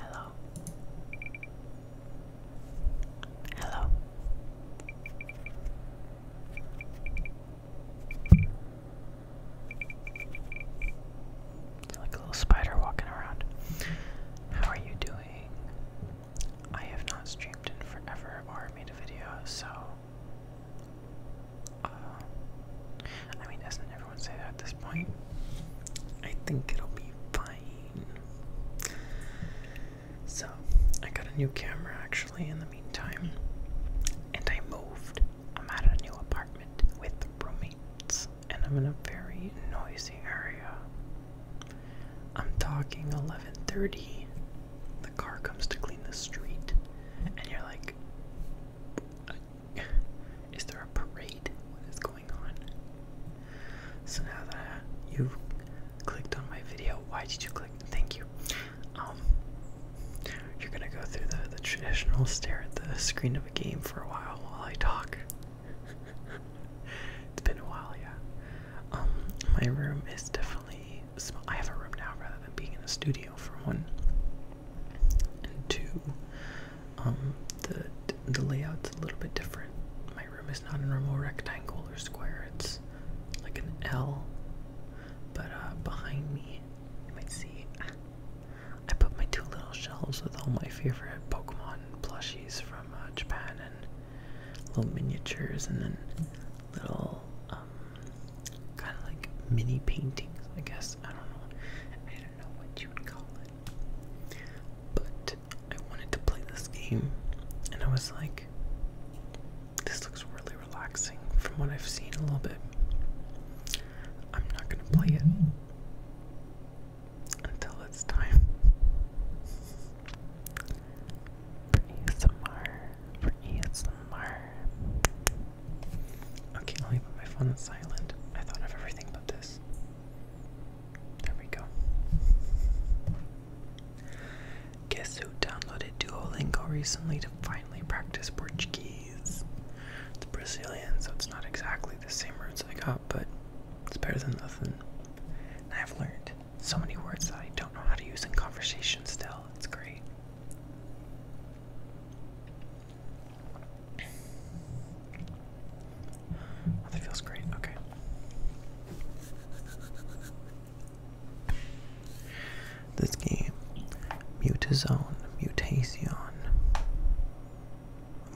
Hello. Hello. It's like a little spider walking around. How are you doing? I have not streamed in forever or made a video, so uh, I mean, doesn't everyone say that at this point? I think it'll be fine. So, I got a new camera actually in the meantime, and I moved. I'm at a new apartment with roommates, and I'm in a very noisy area. I'm talking 11:30 the car comes to clean the street, and you're like, is there a parade? What is going on? So now that you've clicked on my video, why did you click? Thank you. Um, you're gonna go through the, the traditional stare at the screen of a game for a while while I talk. it's been a while, yeah. Um, my room is different. I have a room now rather than being in a studio for one, and two, um, the the layout's a little bit different. My room is not a normal rectangle or square; it's like an L. But uh, behind me, you might see. I put my two little shelves with all my favorite Pokemon plushies from uh, Japan and little miniatures, and then little um, kind of like mini paintings, I guess. I don't know. I don't know what you would call it. But I wanted to play this game and I was like this looks really relaxing from what I've seen a little bit. I'm not going to play it until it's time. ASMR for ASMR. Okay, let me put my phone on silent. I thought of everything but this. There we go. Guess who downloaded Duolingo recently to finally practice Portuguese? It's Brazilian, so it's not exactly the same roots I got, but it's better than nothing. I've learned so many words that I don't know how to use in conversation still. It's great. Oh, that feels great. Okay. This game, Mutazone, Mutazion,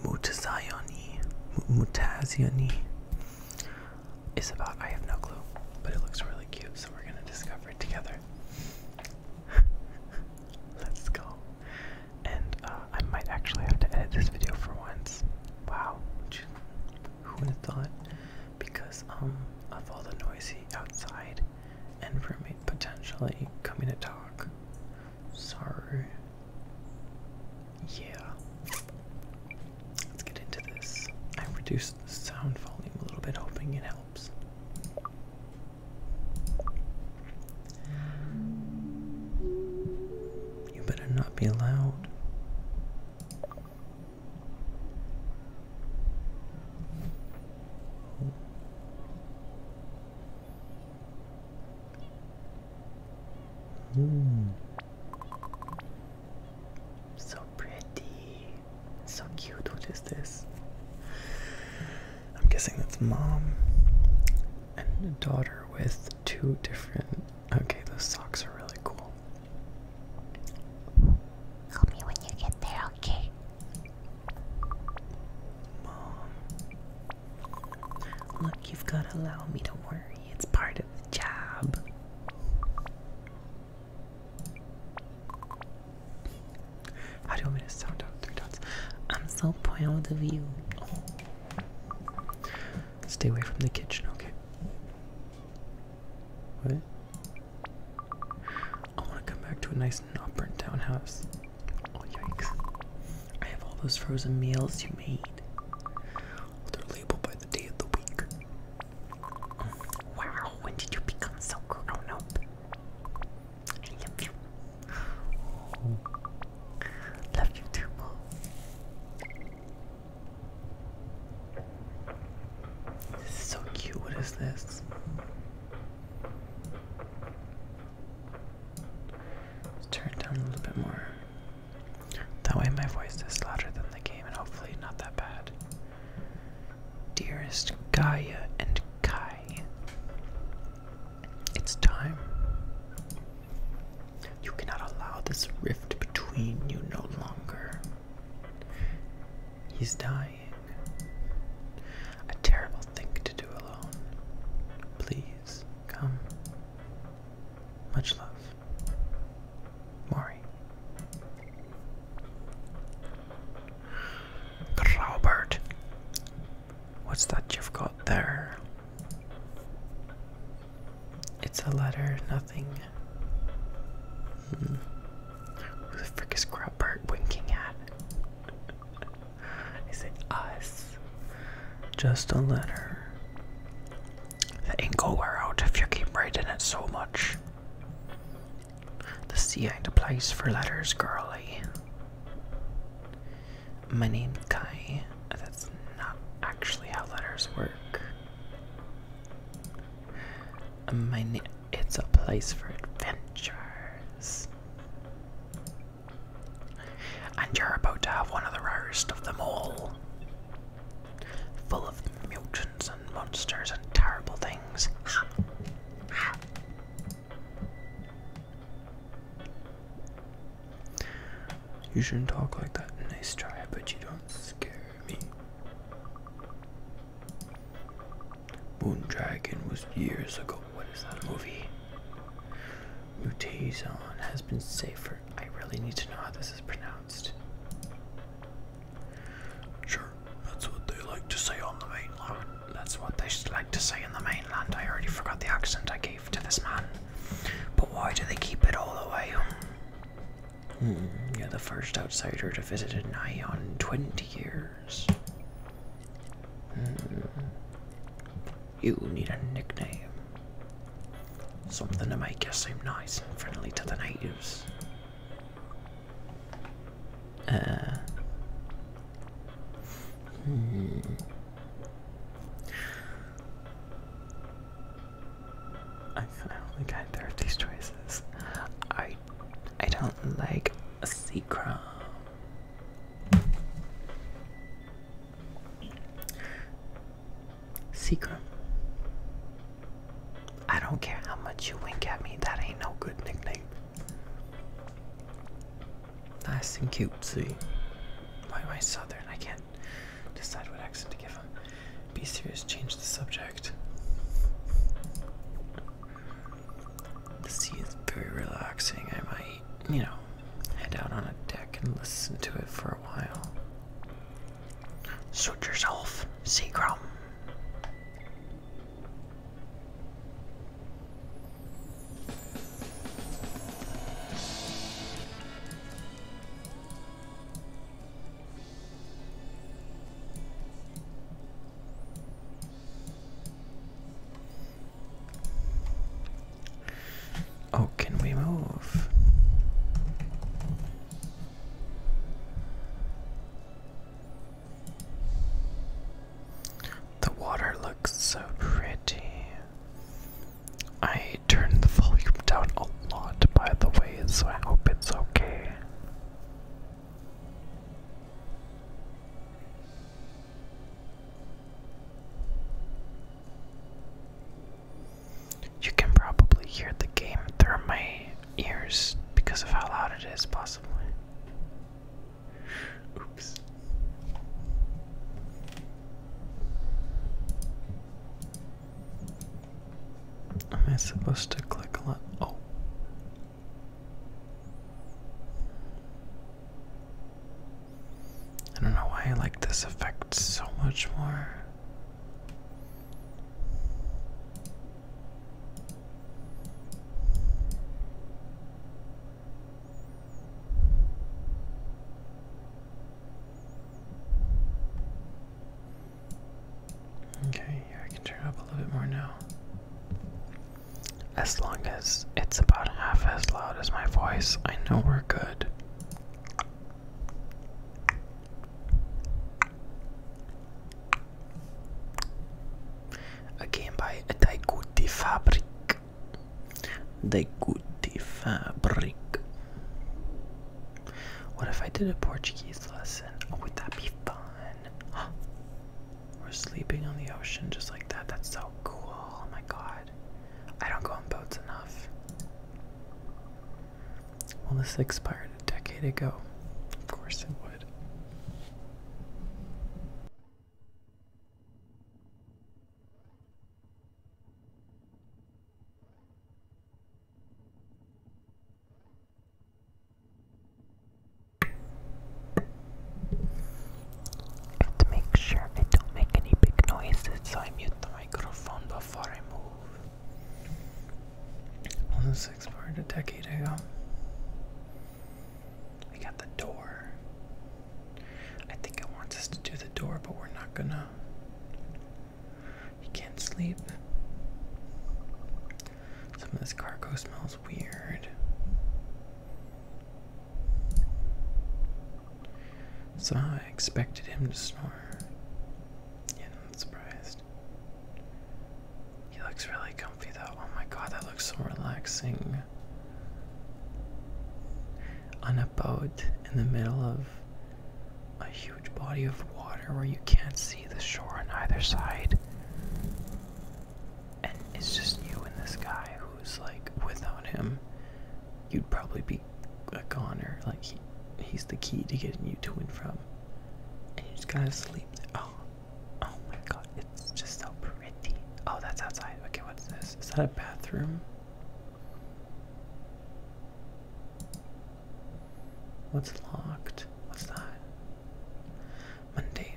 Mutazioni, Mutazioni, is about. I have no clue, but it looks really cute, so we're gonna discover it together. Let's go. And uh, I might actually have to edit this video for once. Wow, who would have thought? Because um, of all the noise outside and roommate potentially coming to talk. Sorry. Yeah. Let's get into this. I reduced the sound volume a little bit, hoping it helps. You better not be loud. Mm. So pretty. It's so cute. What is this? I'm guessing that's mom and daughter with two different. Okay, those socks are really cool. Call me when you get there, okay? Mom. Look, you've got to allow me to worry. It's part of the job. How do you want me sound three dots? I'm so proud of you. Oh. Stay away from the kitchen, okay? What? I want to come back to a nice, not burnt down house. Oh, yikes. I have all those frozen meals you made. They're labeled by the day of the week. wow, when did you become so grown up? I love you. Love you too, Mom. This is so cute. What is this? turn it down a little bit more. That way, my voice is louder than the game, and hopefully, not that bad. Dearest Gaia and Kai, it's time. You cannot allow this rift between you no longer. He's dying. A terrible thing to do alone. Please come. Much love. Maury. Robert, what's that you've got there? It's a letter, nothing. Hmm. Who the frick is Graubert winking at? Is it us? Just a letter. The ink will wear out if you keep writing it so much. This ain't a place for letters, girly. My name's Kai. That's not actually how letters work. My na it's a place for adventures. And you're about to have one of the rarest of them all. Full of mutants and monsters and terrible things. You shouldn't talk like that. Nice try, but you don't scare me. Moon Dragon was years ago. What is that movie? Mutazon has been safer. I really need to know how this is pronounced. Sure, that's what they like to say on the mainland. That's what they like to say in the mainland. I already forgot the accent I gave to this man. But why do they keep it all away? Hmm, you're the first outsider to visit in nigh on 20 years. Hmm. You need a nickname. Something to make you seem nice and friendly to the natives. Uh, hmm. I finally got there of these choices. I I don't like a sea I don't care how much you wink at me, that ain't no good nickname. Nice and cute. See, Why am I southern? I can't decide what accent to give him. Be serious, change the subject. The sea is very relaxing. I might, you know, head out on a deck and listen to it for a while. Suit yourself, Seacrum. Oh, can we move? The water looks so pretty. I turned the volume down a lot, by the way, so I hope it's okay. You can probably hear the game through my ears because of how loud it is, possibly. Oops. Am I supposed to click on? Oh. I don't know why I like this effect so much more. Okay, yeah, I can turn up a little bit more now. As long as it's about half as loud as my voice, I know we're good. Again by Daiguti Fabric. Daiguti Fabric. What if I did a Portuguese lesson? Oh, would that be fun? We're sleeping on the ocean just like that. That's so cool. Oh my god. I don't go on boats enough. Well, this expired a decade ago. Of course it would. To make sure I don't make any big noises, so I mute the microphone before I move. Almost explored a decade ago. We got the door. I think it wants us to do the door, but we're not gonna. He can't sleep. Some of this cargo smells weird. So I expected him to snore. Yeah, I'm not surprised. He looks really Oh my god, that looks so relaxing. On a boat in the middle of a huge body of water where you can't see the shore on either side. And it's just you and this guy who's like, without him, you'd probably be a goner. Like, he, he's the key to getting you to and from. And you just gotta sleep. Oh, Oh my god, it's just so pretty. Oh, that's outside. Okay, what's this? Is that a bathroom? What's locked? What's that? Monday.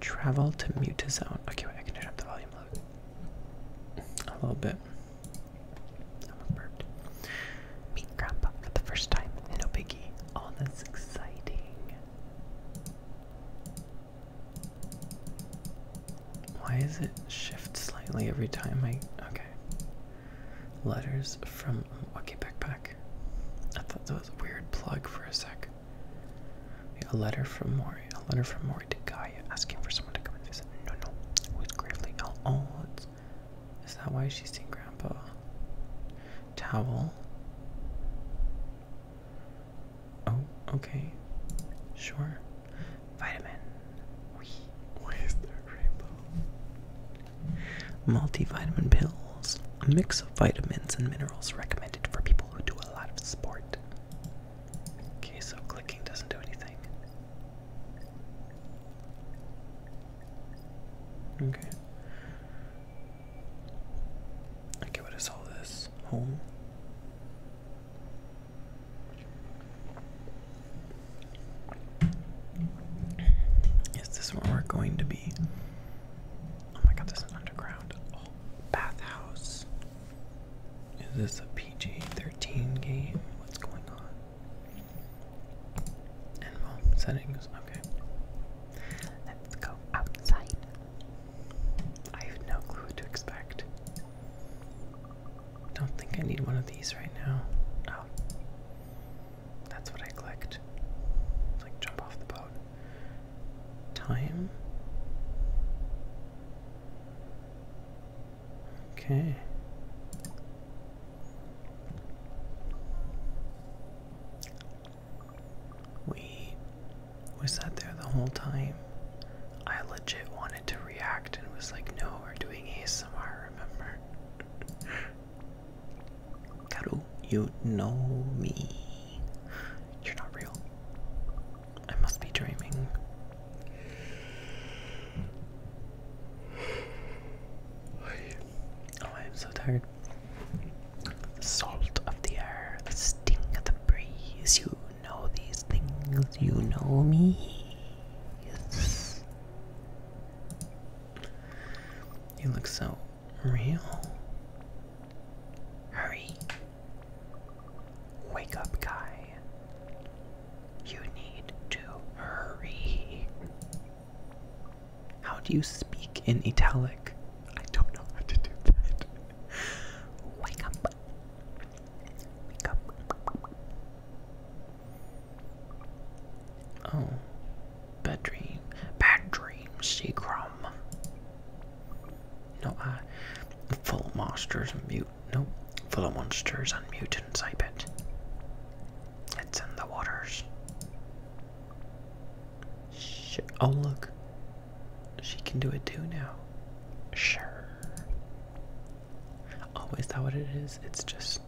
Travel to mute Okay, wait, I can turn up the volume a little bit. I'm a burped. Meet Grandpa for the first time. No biggie. Oh, that's exciting. Why is it shift slightly every time I okay. Letters from okay backpack. I thought that was a weird plug for a sec. A letter from Mori. A letter from Mori to Gaia asking for someone to come and visit. No no. Who's gravely ill oh, oh it's is that why she's seeing grandpa? Towel. Oh, okay. Sure. Vitamin. We where's the rainbow? Multivitamin pills. A mix of vitamins and minerals recommended for people who do a lot of sport. Okay, so clicking doesn't do anything. Okay. Okay, what is all this? Home? Is this where we're going to be? Oh my god, this is underground. Oh, bathhouse. Is this a PG 13 game? What's going on? settings, okay. Let's go outside. I have no clue what to expect. Don't think I need one of these right now. Oh. That's what I clicked. Like jump off the boat. Time. Okay. We we sat there the whole time. I legit wanted to react and was like, no, we're doing ASMR, remember? Karu, you know me. You're not real. I must be dreaming. Oh, I am so tired. The Salt of the air, the sting of the breeze. You know these things, you know me. Yes. You look so real. Hurry. Wake up, guy. You need to hurry. How do you speak in italic? I don't know how to do that. Wake up. Wake up. Oh. Bad dream. Bad dream, Seacrom. No, I. Uh, full of monsters and mute. Nope. Full of monsters and mutants, I bet. It's in the waters oh, look. She can do it too now. Sure. Oh, is that what it is? It's just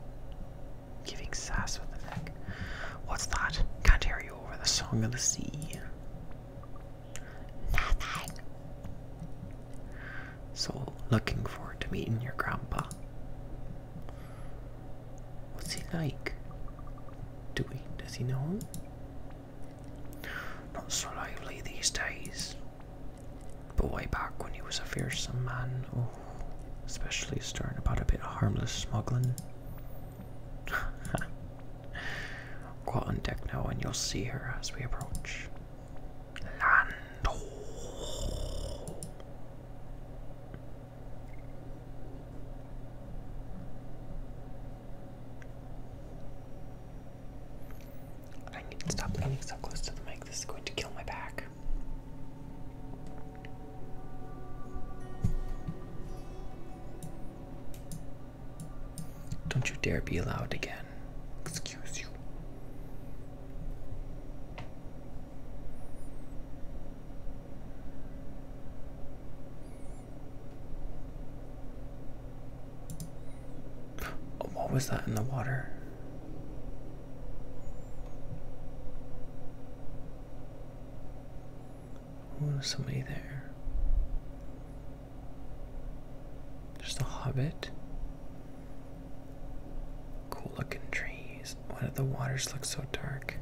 giving sass with the neck. What's that? Can't hear you over the song of the sea. Nothing. So, looking forward to meeting your grandpa. What's he like? Do we? Does he know not so lively these days. But way back when he was a fearsome man, oh, especially stern about a bit of harmless smuggling. Go on deck now and you'll see her as we approach. Land. I need to stop leaning so close to the mic. This is going to kill my back. Don't you dare be loud again. Excuse you. Oh, what was that in the water? Oh, there's somebody there. Just a hobbit. Cool looking trees. Why do the waters look so dark?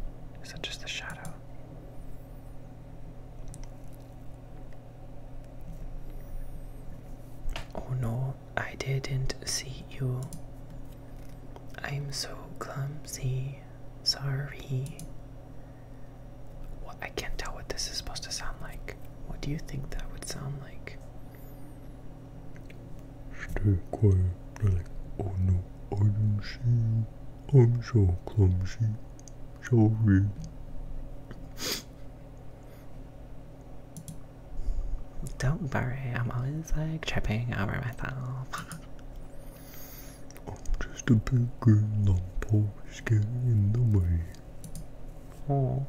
Is that just the shadow? Oh no, I didn't see you. I'm so clumsy. Sorry. I can't tell what this is supposed to sound like. What do you think that would sound like? Stay quiet. oh no, I didn't see you. I'm so clumsy. Don't worry, I'm always like tripping over myself. I'm just a big lump always getting in the way. Oh.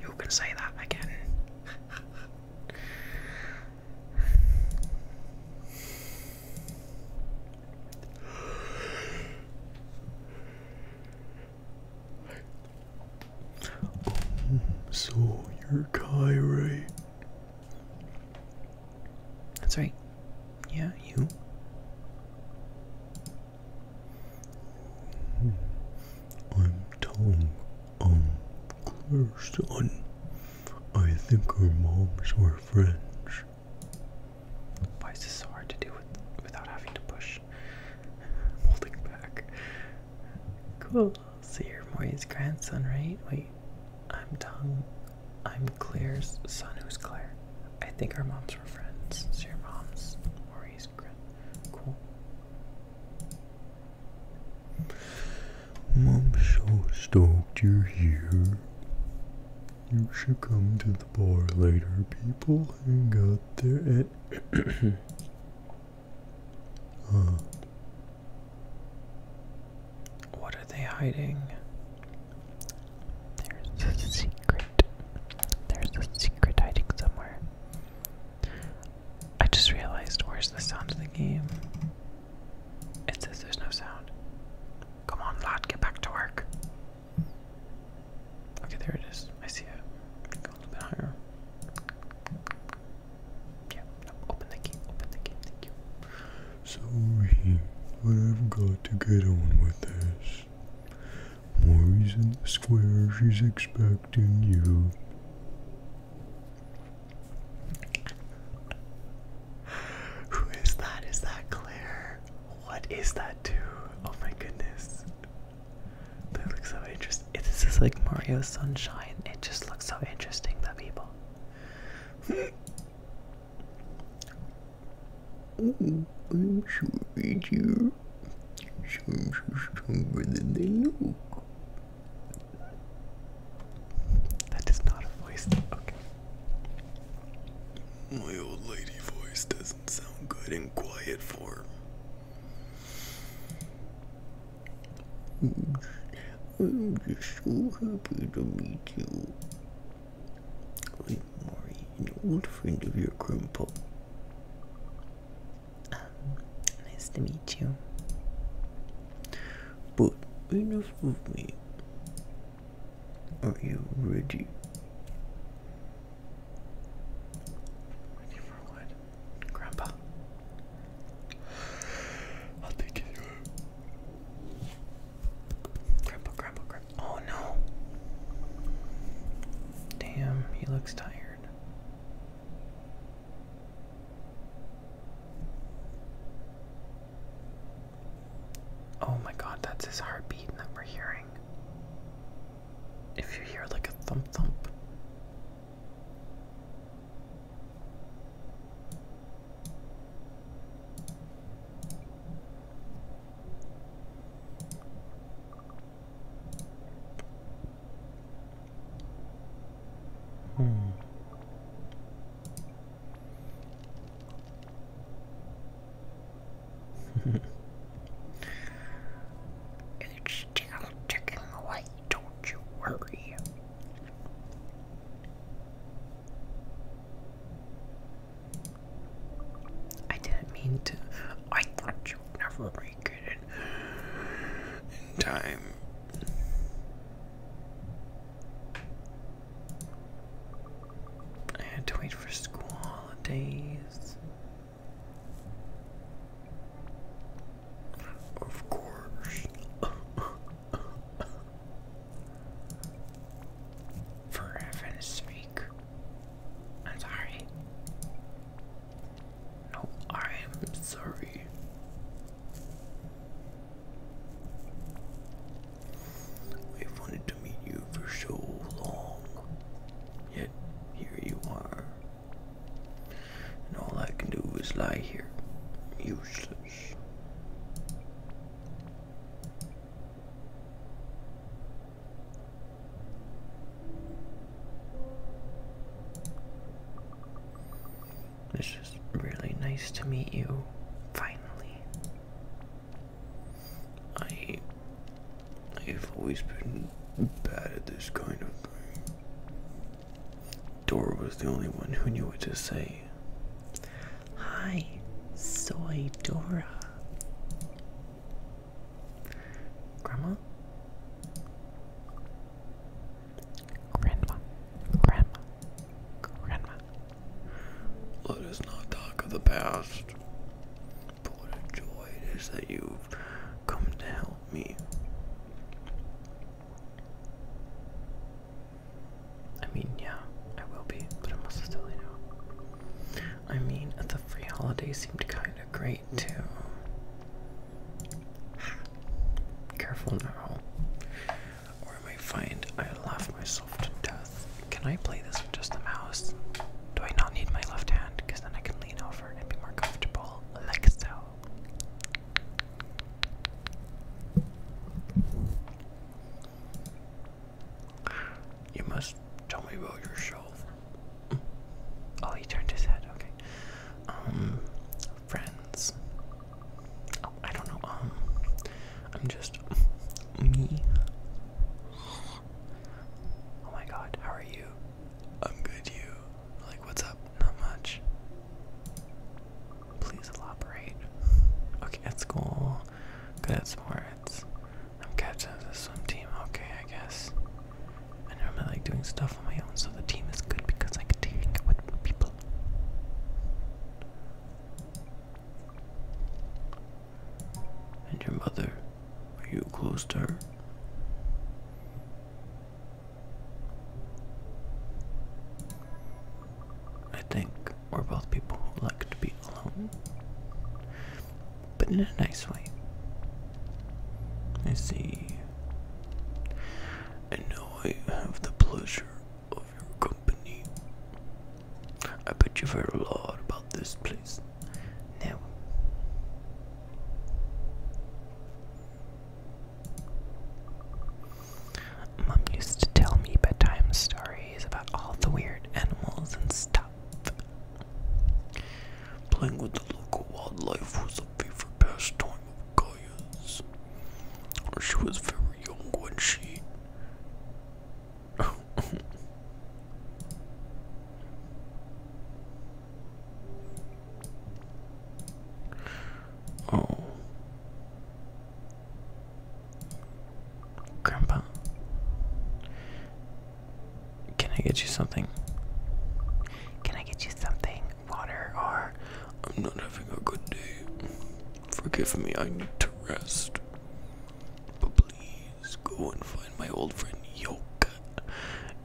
You can say that again so you're Kai, That's right. Yeah, you. Hmm. I'm Tom. Um, Clearston. I think our moms were French. Why is this so hard to do without having to push? holding back. Cool. So you're grandson, right? Wait, I'm tongue. I'm Claire's son. Who's Claire? I think our moms were friends. So your mom's Mori's grand. Cool. I'm so stoked you're here. You should come to the bar later. People And out there at. Uh. What are they hiding? There's a secret. There's a secret hiding somewhere. I just realized where's the sound of the game? It says there's no sound. Come on, lad, get back to work. Okay, there it is. I see it. Go a little bit higher. Yeah, open the key, open the key, thank you. Sorry, I've got to get on with this. Maury's in the square, she's expecting you. Who is that? Is that Claire? What is that dude? Oh my goodness. They look so interesting. This is like Mario Sunshine. It just looks so interesting, the people. I'm so dear. I'm stronger than they look. That is not a voice. Okay. My old lady voice doesn't sound good in quiet form. I'm just so happy to meet you. I'm Maury, an old friend of your grandpa. nice to meet you. But enough of me. Are you ready? Ready for what? Grandpa. I'll take it. Grandpa, grandpa, grandpa. Oh no. Damn, he looks tired. Oh my god, that's his heartbeat that we're hearing. If you hear like a thump thump. Hmm it's still ticking away, don't you worry. I didn't mean to. I thought you'd never make it in, time. I had to wait for school holidays. Of course. for heaven's sake. I'm sorry. No, I am sorry. I've wanted to meet you for so long, yet here you are. And all I can do is lie here, useless. This is really nice to meet you, finally. I I've always been bad at this kind of thing. Dora was the only one who knew what to say. Hi, soy Dora. Grandma? Grandma. Grandma. Grandma. Let us not talk of the past. what a joy it is that you've come to help me. I mean, yeah, I will be, but I'm also still, you know. I mean, the free holiday seemed kind of great, too. Careful now. Or I find I laugh myself to death. Can I play this with just the mouse? Do I not need my left hand? Because then I can lean over and be more comfortable, like so. You must tell me about yourself. Oh, he turned his head. Okay. Um, friends. I don't know. Um, I'm just me. Oh my god, how are you? I'm good, you. Like, what's up? Not much. Please elaborate. Okay, it's cool. Good at sports. I'm captain of the swim team. Okay, I guess. I normally like doing stuff on my own, so the team is good because I can take what people. And your mother, are you close to her? I think we're both people who like to be alone, but in a nice way. I see. And now I have the pleasure company. I bet you've heard a lot about this place. Now, Mom used to tell me bedtime stories about all the weird animals and stuff. Playing with the local wildlife was a favorite pastime of Gaia's. She was very young Oh. oh. Grandpa, can I get you something? Can I get you something? Water or. I'm not having a good day. Forgive me, I need to rest. But please go and find my old friend Yoka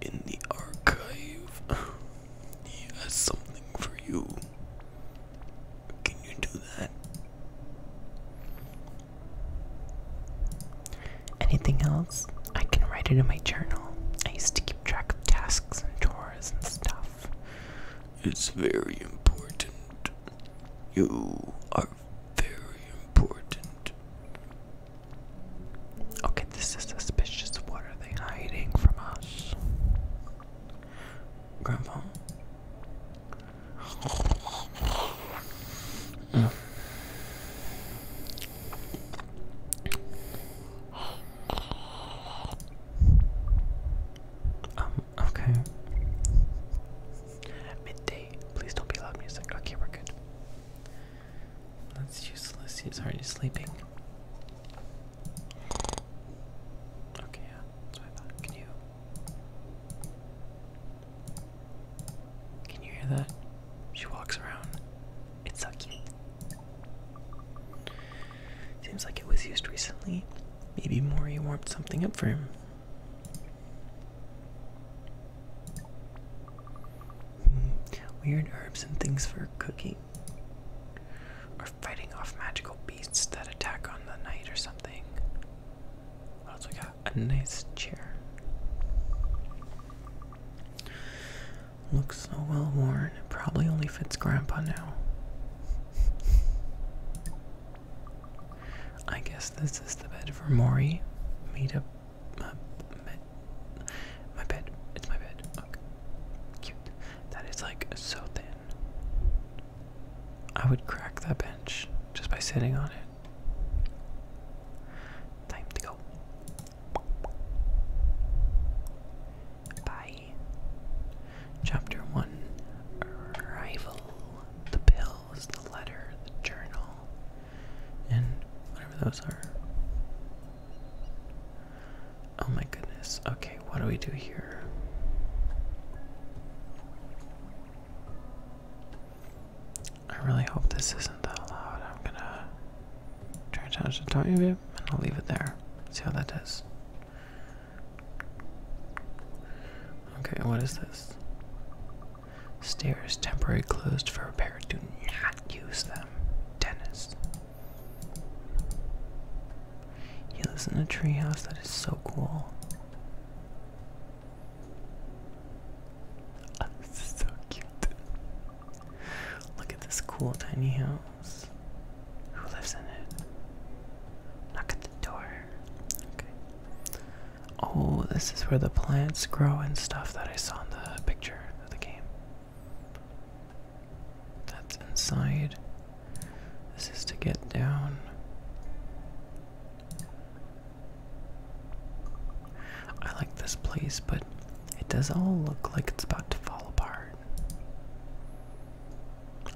in the archive. He has something for you. Can you do that? Anything else? I can write it in my journal. I used to keep track of tasks and chores and stuff. It's very important. You are very important. Okay, this is suspicious. What are they hiding from us? Grandpa? Mm. Um, okay. Midday. Please don't be loud music. Okay, we're good. That's useless. He's already sleeping. Okay, yeah. Can you... Can you hear that? She walks around. It's so cute. Seems like it was used recently. Maybe Mori warmed something up for him. Hmm. weird herbs and things for cooking. Or fighting off magical beasts that attack on the night or something. What got? A nice chair. Looks so well worn. It probably only fits Grandpa now. I guess this is the bed for Mori. Meet up. Uh, my, bed. It's my bed. Okay. Cute. That is like so thin. I would crack that bench just by sitting on it. Time to go. Bye. Chapter 1 Rival the Pill bills, the letter, the journal, and whatever those are. Oh my goodness. Okay, what do we do here? I really hope this isn't that loud. I'm gonna try to touch the talking of it and I'll leave it there. See how that does. Okay, what is this? Stairs temporarily closed for repair. Do not use them. Dennis. He lives in a treehouse. That is so cool. so cute. Look at this cool tiny house. Who lives in it? Knock at the door. Oh, this is where the plants grow and stuff that I saw in the picture of the game. That's inside. This is to get down. I like this place, but it does all look like it's about to fall apart.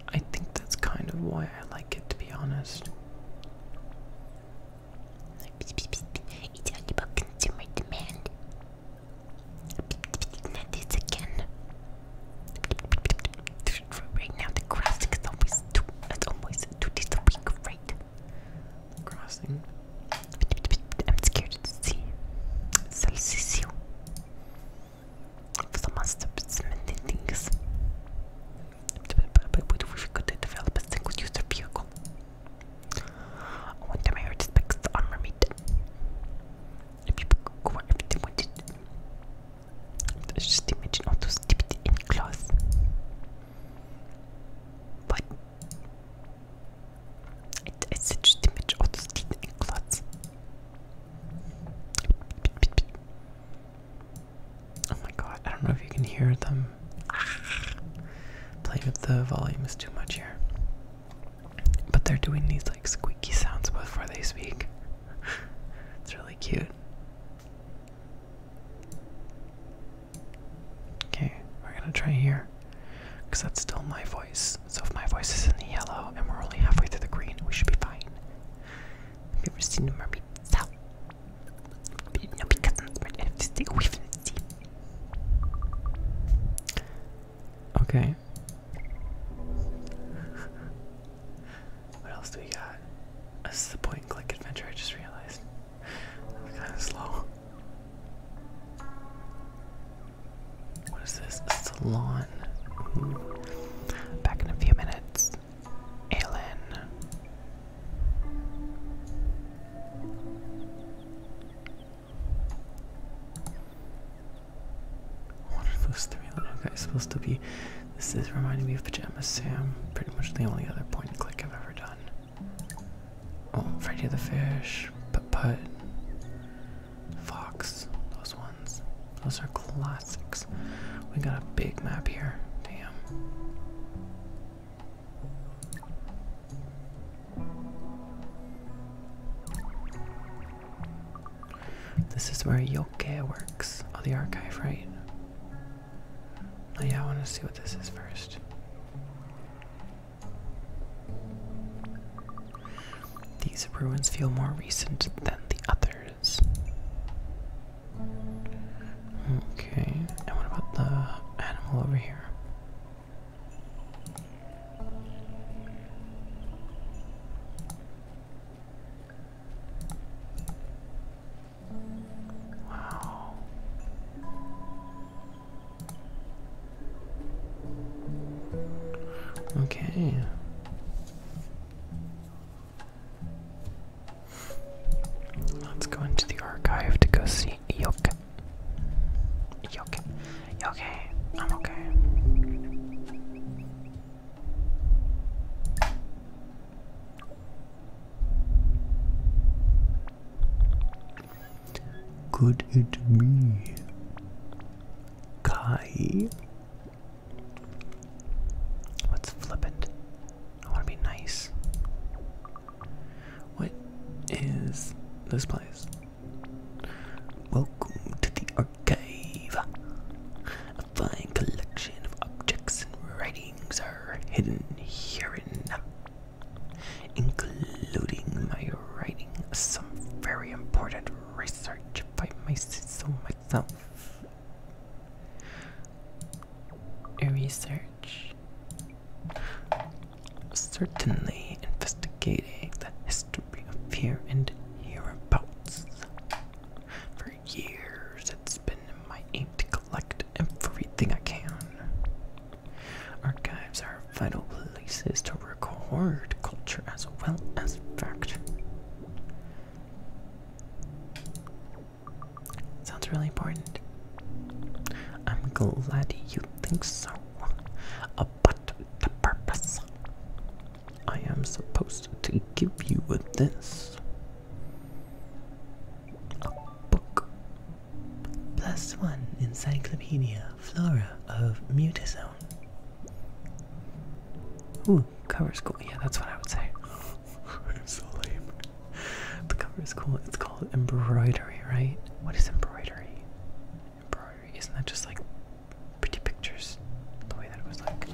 I think that's kind of why I like it, to be honest. Right now, the crossing is always two, it's always two days a week, right? Crossing. I'm scared to see. Salsiccio. For the most of things. We could develop a single user vehicle. I want to marry respects the armor meat. Just imagine all those stupid in class. it's such a image all those in class. Oh my god, I don't know if you can hear them. Playing with the volume is too much here. But they're doing these like squeaky sounds before they speak. it's really cute. Okay, we're gonna try here. Because that's still my voice. So if my voice is in the yellow and we're only halfway through the green, we should be fine. Have you ever seen a mermaid? Sal Okay. What else do we got? This is a point and click adventure, I just realized. That's kind of slow. What is this? salon. Back in a few minutes. Aelin. What are those three little guys supposed to be? This is reminding me of Pajama Sam. Pretty much the only other point and click I've ever done. Oh, Freddy the Fish, But Put, Fox, those ones. Those are Clyde classics. We got a big map here. Damn. This is where Yoke works. Oh, the archive, right? Oh, yeah, I want to see what this is first. These ruins feel more recent than the others. Okay, and what about the animal over here? Wow. Okay. Let's go into the archive to go see Yoke. Yoke. Yoke. I'm okay. Could it be Kai? What's flippant? I want to be nice. What is this place? Welcome to the archive. A fine collection of objects and writings are hidden here and there, including my writing some very important research by myself. Research. Certainly investigating the history of here and hereabouts. For years, it's been my aim to collect everything I can. Archives are vital places to record culture as well as fact. Sounds really important. I'm glad you think so. Uh, the purpose. I am supposed to give you this. A book. Plus one encyclopedia flora of Mutazone. Ooh, cover's cool. Yeah, that's what I would say. The cover is cool. It's called embroidery, right? What is embroidery? Embroidery. Isn't that just like pretty pictures? The way that it was like.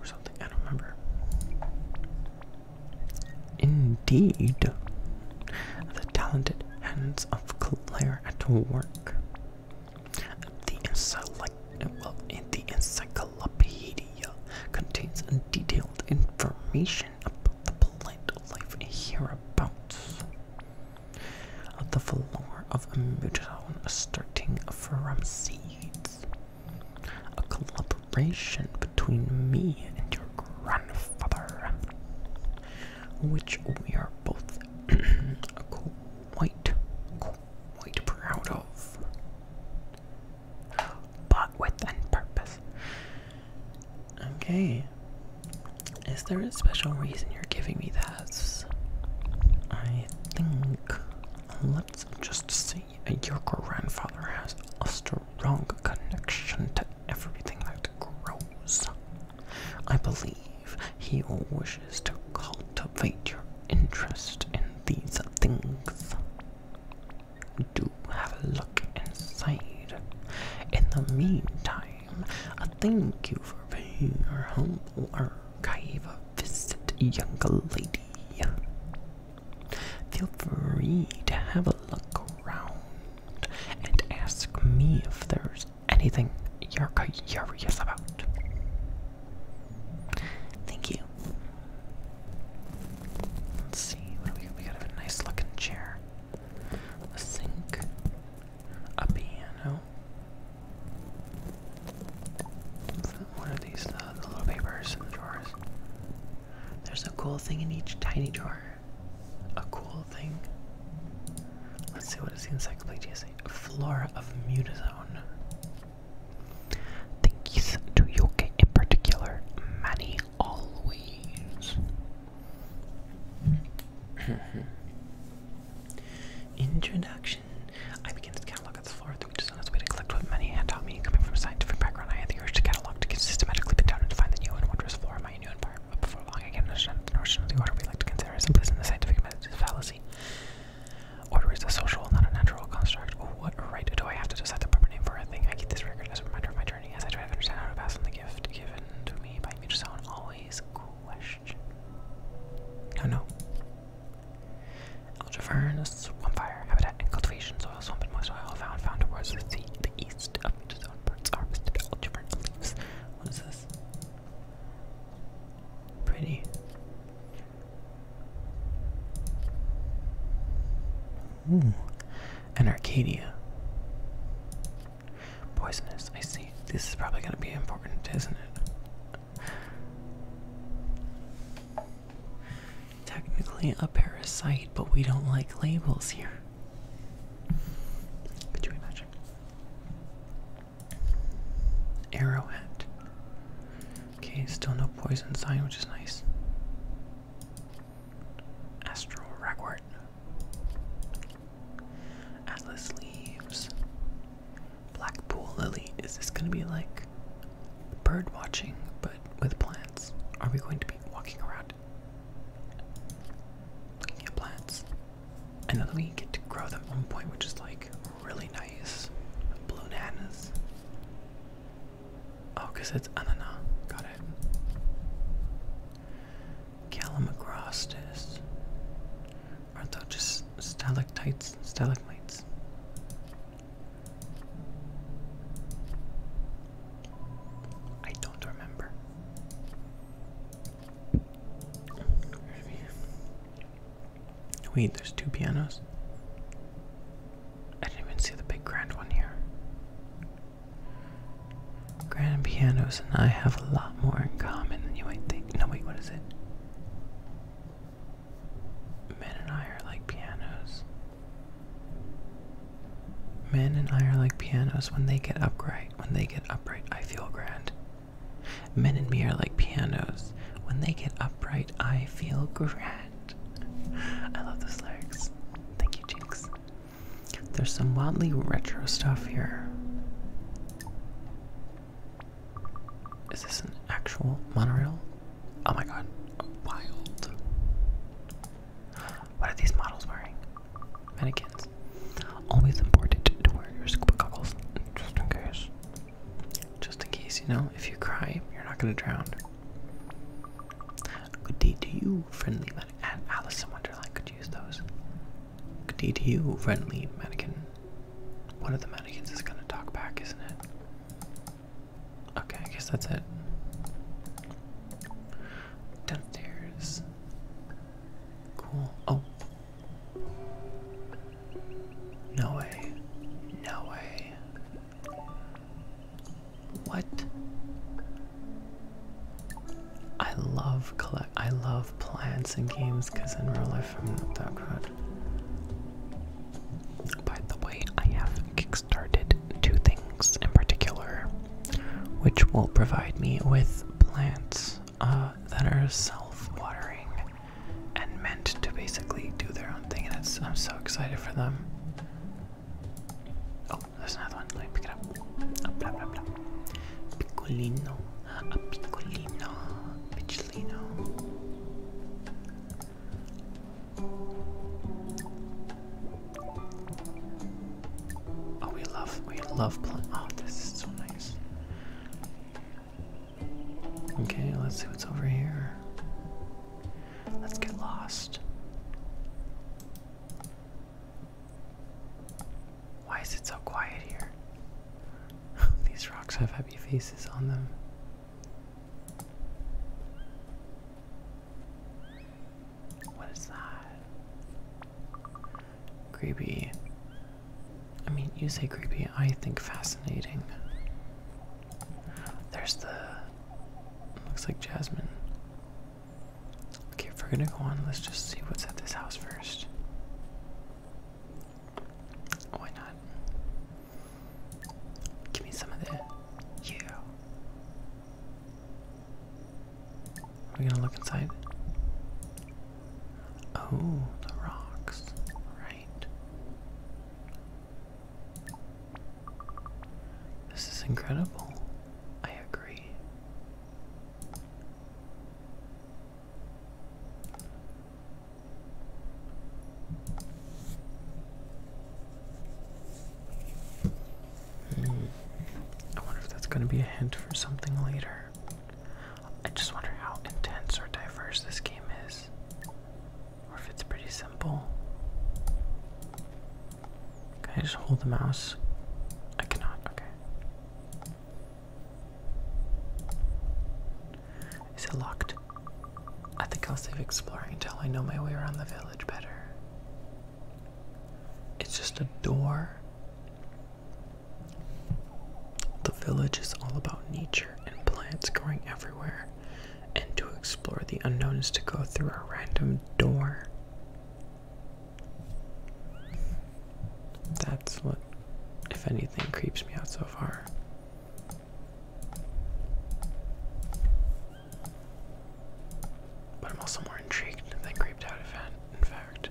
Or something. I don't remember. Indeed. The talented hands of Claire at work. in the encycl encyclopedia contains detailed information about the plant life hereabouts. Of The flora of Mutown starting from seeds. A collaboration between me and your grandfather, which we are both quite, quite proud of. Bought with and purpose. Okay. Is there a special reason you're giving me this? I think. Let's just see. Your grandfather has a strong connection to everything that grows. I believe he wishes to cultivate your interest in these things. Do have a look inside. In the meantime, I thank you for being our humble archive a visit, young lady. Feel free to have a look around and ask me if there's anything you're curious about. Thank you. Let's see. We got, a nice looking chair, a sink, a piano. One of these, uh, the little papers in drawers. There's a cool thing in each tiny drawer. A cool thing. Let's see what is the encyclopedia say. Flora of Mutazone. Thank you to Yoke in particular, many always. Introduction. I begin to catalog at the floor, the which is on its way to collect what Manny had taught me. Coming from a scientific background, I had the urge to catalog, to systematically pin down and define the new and wondrous floor of my new environment. But before long, I can understand the notion of the order we like to consider as implicit in the scientific method's fallacy. Order is a social, not a natural construct. what right do I have to decide the proper name for a thing? I keep this record as a reminder of my journey as I try to understand how to pass on the gift given to me by each someone. Always question. No, no. Algiverns, fire habitat, and cultivation soil, swamp, and moist soil found found towards the sea to the east of the zone parts harvested algivern leaves. What is this? Pretty. Ooh, an Arcadia. Poisonous, I see. This is probably going to be important, isn't it? Technically a parasite, but we don't like labels here. Could you imagine? Arrowhead. Okay, still no poison sign, which is nice. Astral Ragwort. Atlas Leaves. Blackpool Lily. Is this gonna be like bird watching but with plants? Are we going to be walking around looking at plants? I know we get to grow them one point, which is like really nice. Blue nanas. Oh, because it's Anana. Got it. Callum Aren't those just stalactites? Stalagmites? I don't remember. Wait, there's two pianos. I didn't even see the big grand one here. Grand pianos and I have a lot more in common than you might think. No, wait, what is it? Men and I are like pianos. Men and I are like pianos when they get upright. When they get upright, I feel grand. Men and me are like pianos. When they get upright, I feel grand. I love those lyrics. Thank you, Jinx. There's some wildly retro stuff here. Is this an actual monorail? Oh my god, wild. What are these models wearing? Mannequins. Always important to wear your scuba goggles, just in case. Just in case, you know, if you cry, you're not gonna drown. Good day to you, friendly mannequin. Alice Wonderland could use those. Good day to you, friendly mannequin. One of the mannequins is gonna talk back, isn't it? Okay, I guess that's it. Downstairs. Cool. Oh. No way. No way. What? I love collect. I love plants and games because in real life I'm not that good. By the way, I have kickstarted two things in particular, which will provide me with plants uh, that are self-watering and meant to basically do their own thing, and I'm so excited for them. Oh, there's another one. Let me pick it up. Oh, blah, blah, blah. Piccolino. A ah, piccolino. Piccolino. Oh, we love, we love plant. Oh, this is so nice. Okay, let's see what's over here. Let's get lost. Why is it so quiet here? These rocks have happy faces on them. What is that? Creepy. I mean, you say creepy, I think fascinating. There's the looks like Jasmine. Okay, if we're gonna go on, let's just see what's at this house first. Why not? Give me some of that. Yeah. Are we gonna look inside? Oh, the rocks. Right. This is incredible. I agree. Hmm. I wonder if that's going to be a hint for something later. I just wonder how intense or diverse this game is or if it's pretty simple. Can I just hold the mouse? I cannot, okay. Is it locked? I think I'll save exploring until I know my way around the village better. It's just a door. The village is all about nature and plants growing everywhere and to explore the unknown is to go through a random door. That's what, if anything, creeps me out so far. But I'm also more intrigued than creeped out in fact.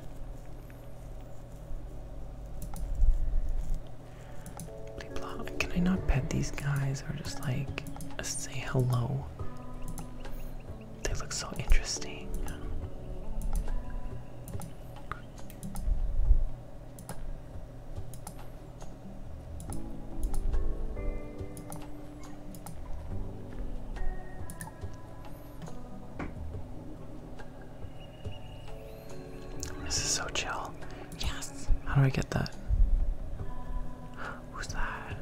Can I not pet these guys or just like say hello? They look so interesting. This is so chill. Yes. How do I get that? Who's that?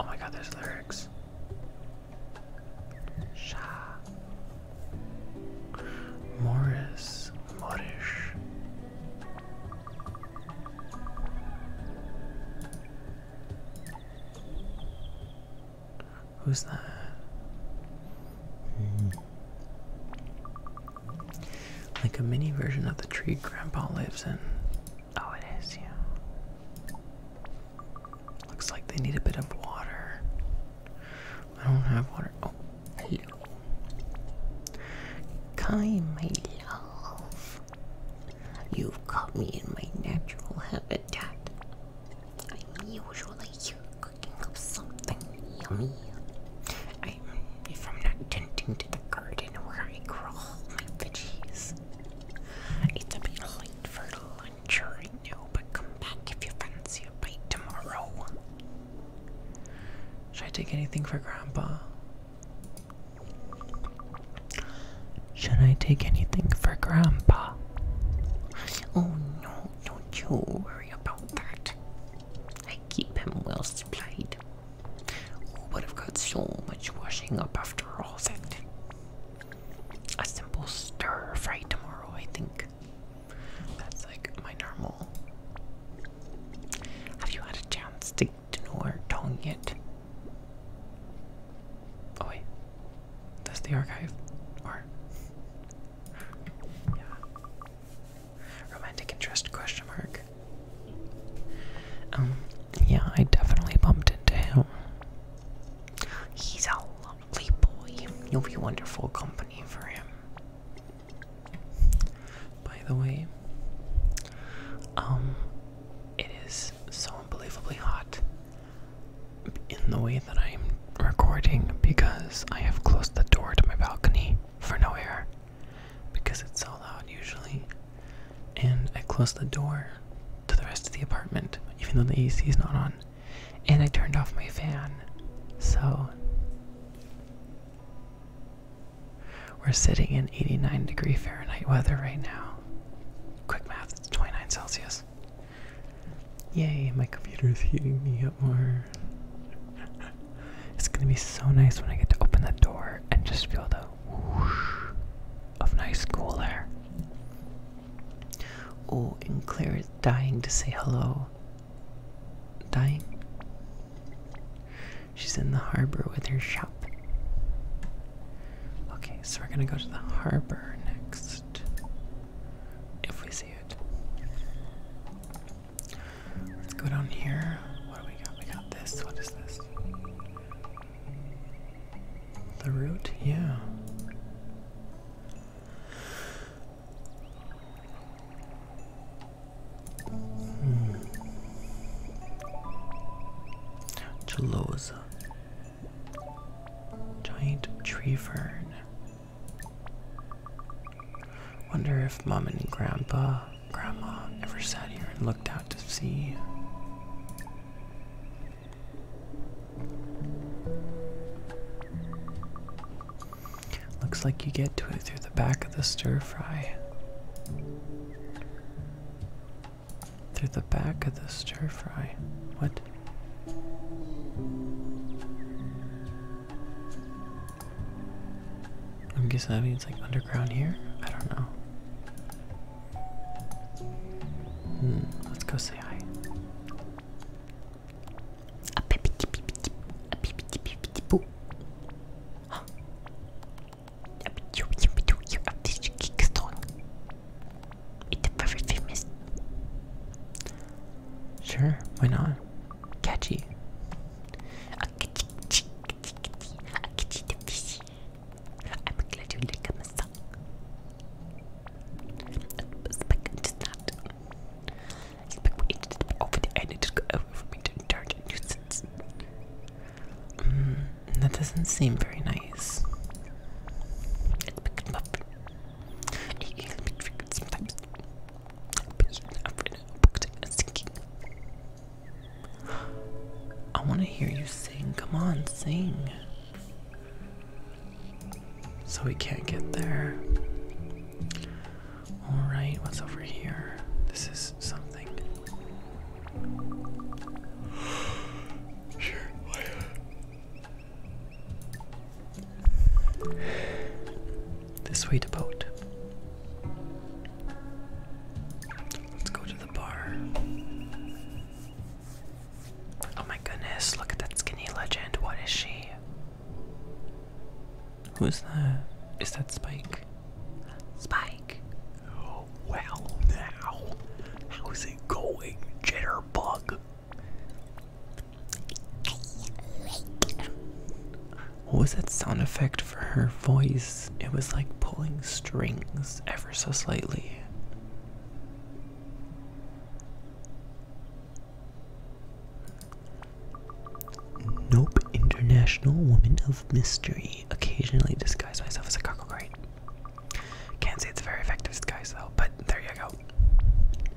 Oh my god, there's lyrics. Sha. Morris. Morish. Who's that? Hmm. Like a mini version of the tree Grandpa lives in. Oh, it is, yeah. Looks like they need a bit of water. I don't have water. Oh, hello. my love. You've caught me in my natural habitat. I'm usually here cooking up something yummy. if I'm not tending to the garden where I grow my veggies, it's a bit late for lunch right now, but come back if you fancy a bite tomorrow. Should I take anything for Grandpa? Should I take anything for Grandpa? Oh no, don't you worry about that. I keep him well supplied. but i have got so much washing up after all that? A simple stir fry tomorrow, I think. That's like my normal. Have you had a chance to, to know our tongue yet? Oh wait, that's the archive, or yeah. Romantic interest question mark. Um, yeah, I definitely bumped into him. He's a lovely boy. You'll be wonderful company for him. By the way, um, it is so unbelievably hot in the way that I'm recording because I have closed the door to my balcony for no air because it's so loud usually. And I closed the door to the rest of the apartment, even though the AC is not on. And I turned off my fan. So we're sitting in 89 degree Fahrenheit weather right now. Quick math, it's 29 Celsius. Yay, my computer is heating me up more. it's gonna be so nice when I get to open that door and just feel the whoosh of nice cool air. Oh, and Claire is dying to say hello. Dying? She's in the harbor with her shop. Okay, so we're gonna go to the harbor next. If we see it. Let's go down here. What do we got? We got this. What is this? The root? Yeah. Hmm. Giant tree fern. Wonder if Mom and Grandpa, Grandma ever sat here and looked out to sea. Looks like you get to it through the back of the stir fry. Through the back of the stir fry. What? I'm guessing that means like underground here? I don't know. let's go say hi. Sure, why not? catchy. A catchy, catchy, catchy, catchy, a catchy the I'm glad you like a massage. Spec just not. Spec will just be over the end. It just got over for me to charge a nuisance. Mm, that doesn't seem very nice i want to hear you sing. Come on, sing. So we can't get there. Alright, what's over here? This is something. Sure, this way to boat. Let's go to the bar. Oh my goodness, look at that skinny legend. What is she? Who's that? Is that Spike? Spike. Oh, well now. How's it going, Jitterbug? What was that sound effect for her voice? It was like pulling strings ever so slightly. Nope, international woman of mystery. Occasionally disguise myself as a cockle Can't say it's a very effective disguise though, but there you go.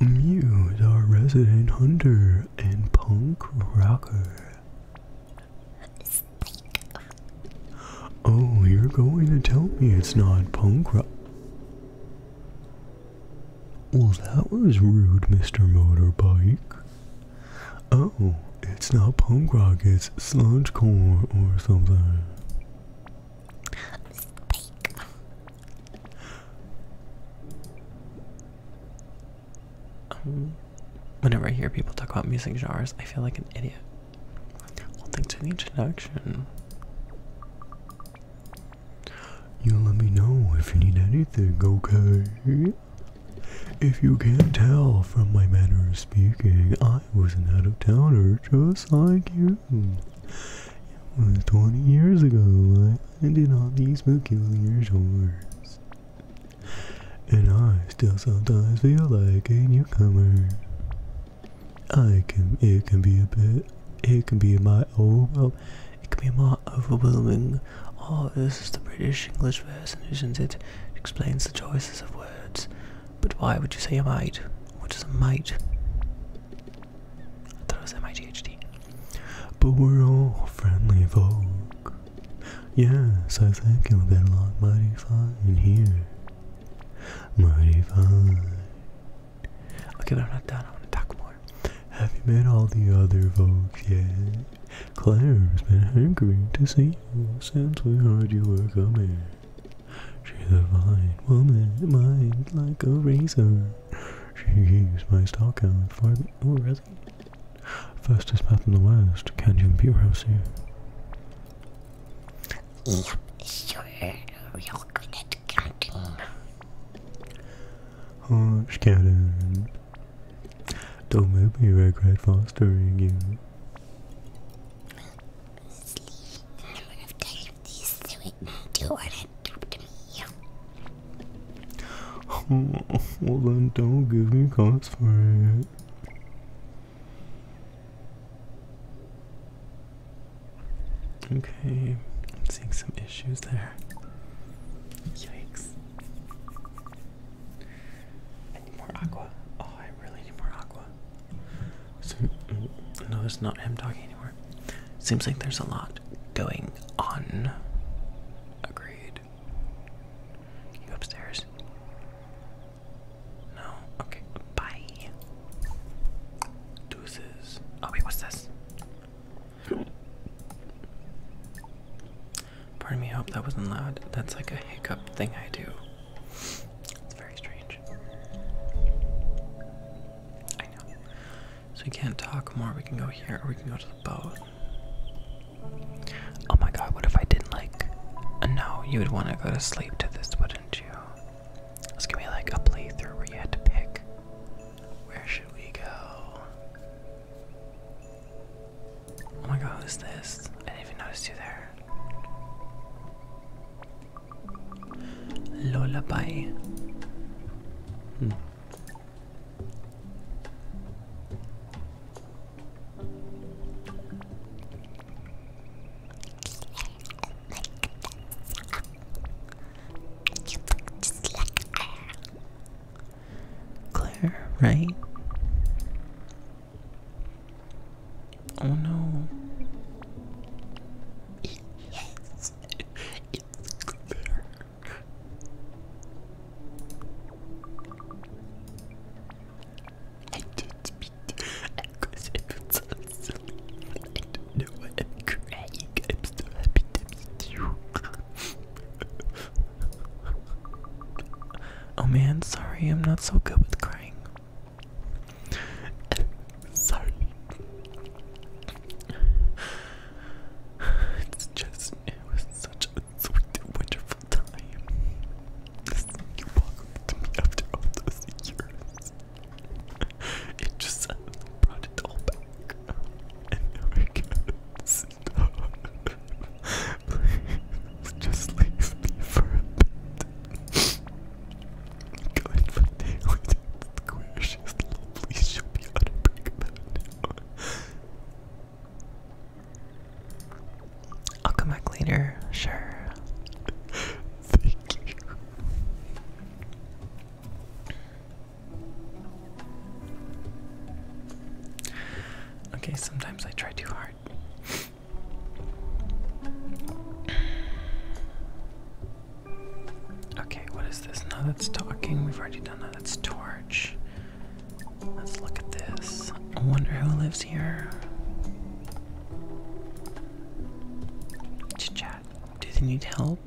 Mew is our resident hunter and punk rocker. Oh, you're going to tell me it's not punk rock. Well, that was rude, Mr. Motorbike. Oh, it's not punk rock, it's sludgecore or something. Um, whenever I hear people talk about music genres, I feel like an idiot. Well, thanks for the introduction. You let me know if you need anything, okay? If you can't tell from my manner of speaking, I was not out of towner just like you. It was 20 years ago, and in all these peculiar shores. And I still sometimes feel like a newcomer. I can, it can be a bit, it can be my, oh, it can be my overwhelming. Oh, this is the British English version, isn't it? It explains the choices of words. But why would you say a mate? What is a mate? I thought it was M-I-G-H-T. But we're all friendly folk. Yes, I think you'll get along mighty fine here. Mighty fine. Okay, but I'm not done. I want to talk more. Have you met all the other folks yet? Claire's been hankering to see you since we heard you were coming. She's a fine woman, mind like a razor. She used my stalker for me. Oh, really? Fastest path in the west. Can you be Rosie? Yeah, sure. Real good Don't make me regret fostering you. They do it and do what to me. Oh, well then don't give me cause for it. Okay, I'm seeing some issues there. Yikes. I need more aqua. Oh, I really need more aqua. no, it's not him talking anymore. Seems like there's a lot going on. Agreed. you go upstairs? No? Okay. Bye. Deuces. Oh, wait, what's this? Pardon me, hope that wasn't loud. That's like a hiccup thing I do. It's very strange. I know. So we can't talk more. We can go here or we can go to the boat. Oh my god, what if I didn't like. No, you would want to go to sleep to this, wouldn't you? It's gonna be like a playthrough where you had to pick. Where should we go? Oh my god, who's this? I didn't even notice you there. Lullaby. Hmm. Claire, right? Oh no. Yes. It's Claire. I just beat because it so silly. I don't know why I'm crying. I'm so happy to meet you. oh man, sorry, I'm not so good with crying. sorry. It's just, it was such a sweet, wonderful time. You welcome to me after all those years. It just brought it all back. And now Please, just leave me for a bit. Going for daily squish. I'll come back later, sure. Thank you. Okay, sometimes I try too hard. Okay, what is this? No, that's talking. We've already done that. That's torch. Let's look at this. I wonder who lives here. Chit chat. Do they need help?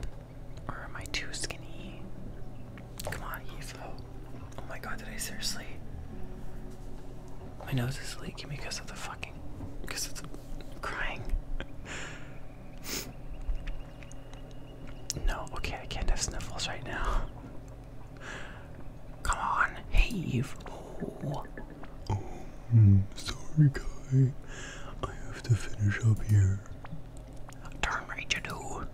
Or am I too skinny? Come on, Evo. Oh my god, did I seriously? My nose is leaking because of the fucking. because of crying. No, okay, I can't have sniffles right now. Come on, heave. Oh. oh, hmm, sorry, guy. I have to finish up here. Darn right you do.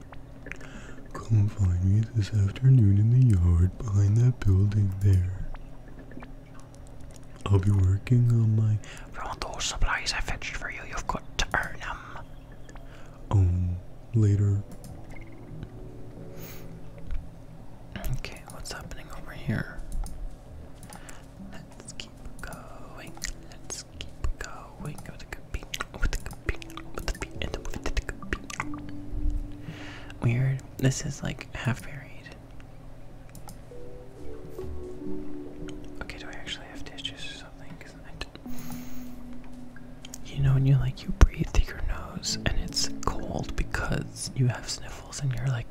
Come find me this afternoon in the yard behind that building there. I'll be working on my. For all those supplies I fetched for you, you've got to earn them. Um, later. Okay, what's happening over here? Let's keep going. Let's keep going. Weird. This is like half buried. Okay, do I actually have dishes or something? You know, when you like you breathe through your nose and it's cold because you have sniffles and you're like,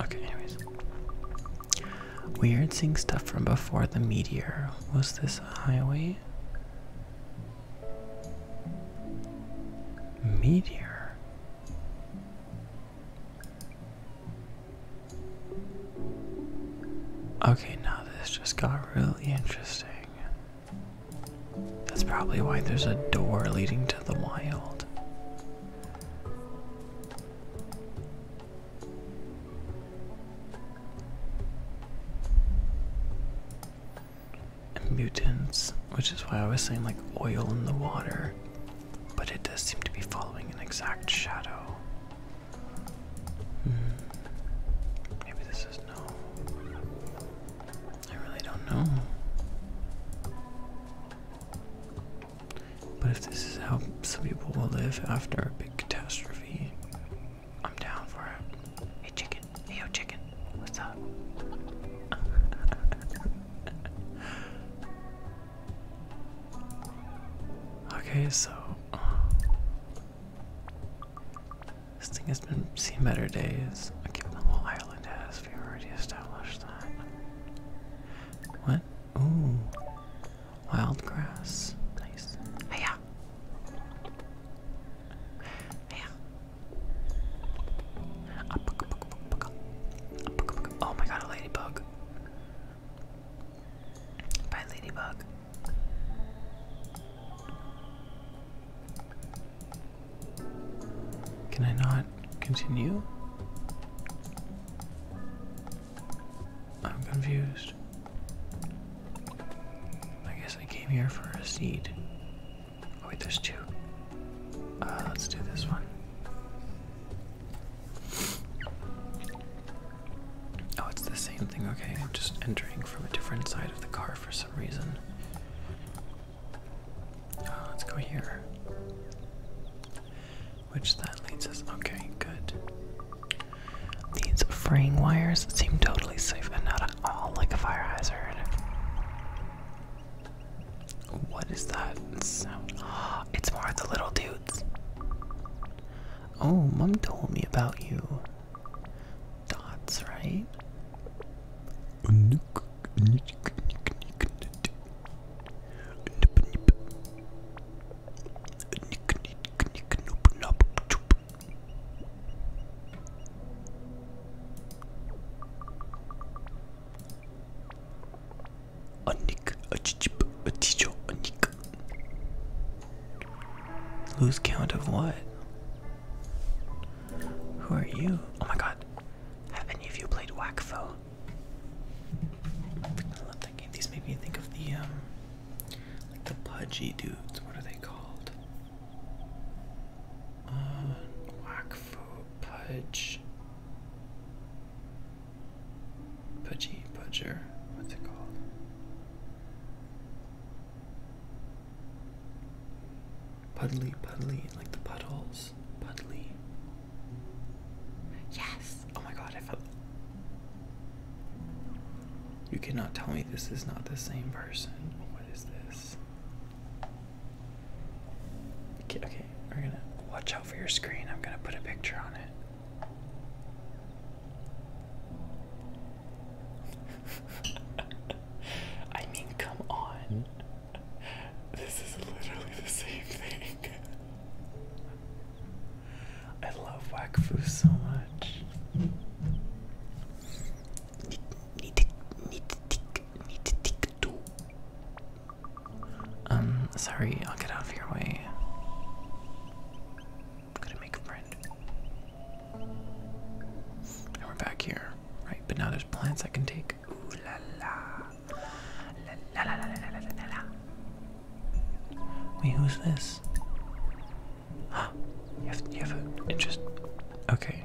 okay, anyways. Weird seeing stuff from before the meteor. Was this a highway? Meteor. Okay, now this just got really interesting. That's probably why there's a door leading to the wild. mutants, which is why I was saying like oil in the water, but it does seem to be following an exact shadow. Hmm. Maybe this is no. I really don't know. But if this is how some people will live after a big catastrophe, I'm down for it. Hey chicken, hey yo chicken, what's up? Okay, so uh, this thing has been seen better days. Okay, whole island has. We already established that. What? Ooh, wild grass. Nice. Hiya. Hiya. Oh my god, a ladybug by Ladybug. Can I not continue? I'm confused. I guess I came here for a seed. Oh, wait, there's two. Uh, let's do this one. Oh, it's the same thing. Okay, I'm just entering from a different side of the car for some reason. Ah, let's go here. Which that leads us. Okay, good. These fraying wires seem totally safe and not at all like a fire hazard. What is that sound? It's more of the little dudes. Oh, mom told me about you. Dots, right? a chip, a teacher, a Nick. Lose count of what? Who are you? Oh my god. Have any of you played Wackfo? I love that game. These make me think of the, um, the pudgy dudes. What are they called? Uh, Pudge. Pudgy Pudger. What's it called? Puddly, puddly, like the puddles. Puddly. Yes! Oh my god, I felt. You cannot tell me this is not the same person. What is this? Okay, okay, we're gonna watch out for your screen. I'm gonna put a picture on it. I mean, come on. Hmm? This is literally the same thing. I love Wakfu so much. Um, sorry, I'll get out of your way. I'm gonna make a friend. And we're back here, right? But now there's plants I can take. Ooh la la. La la la la la la la la. Wait, who's this? Huh? You have, you have a interest. Okay.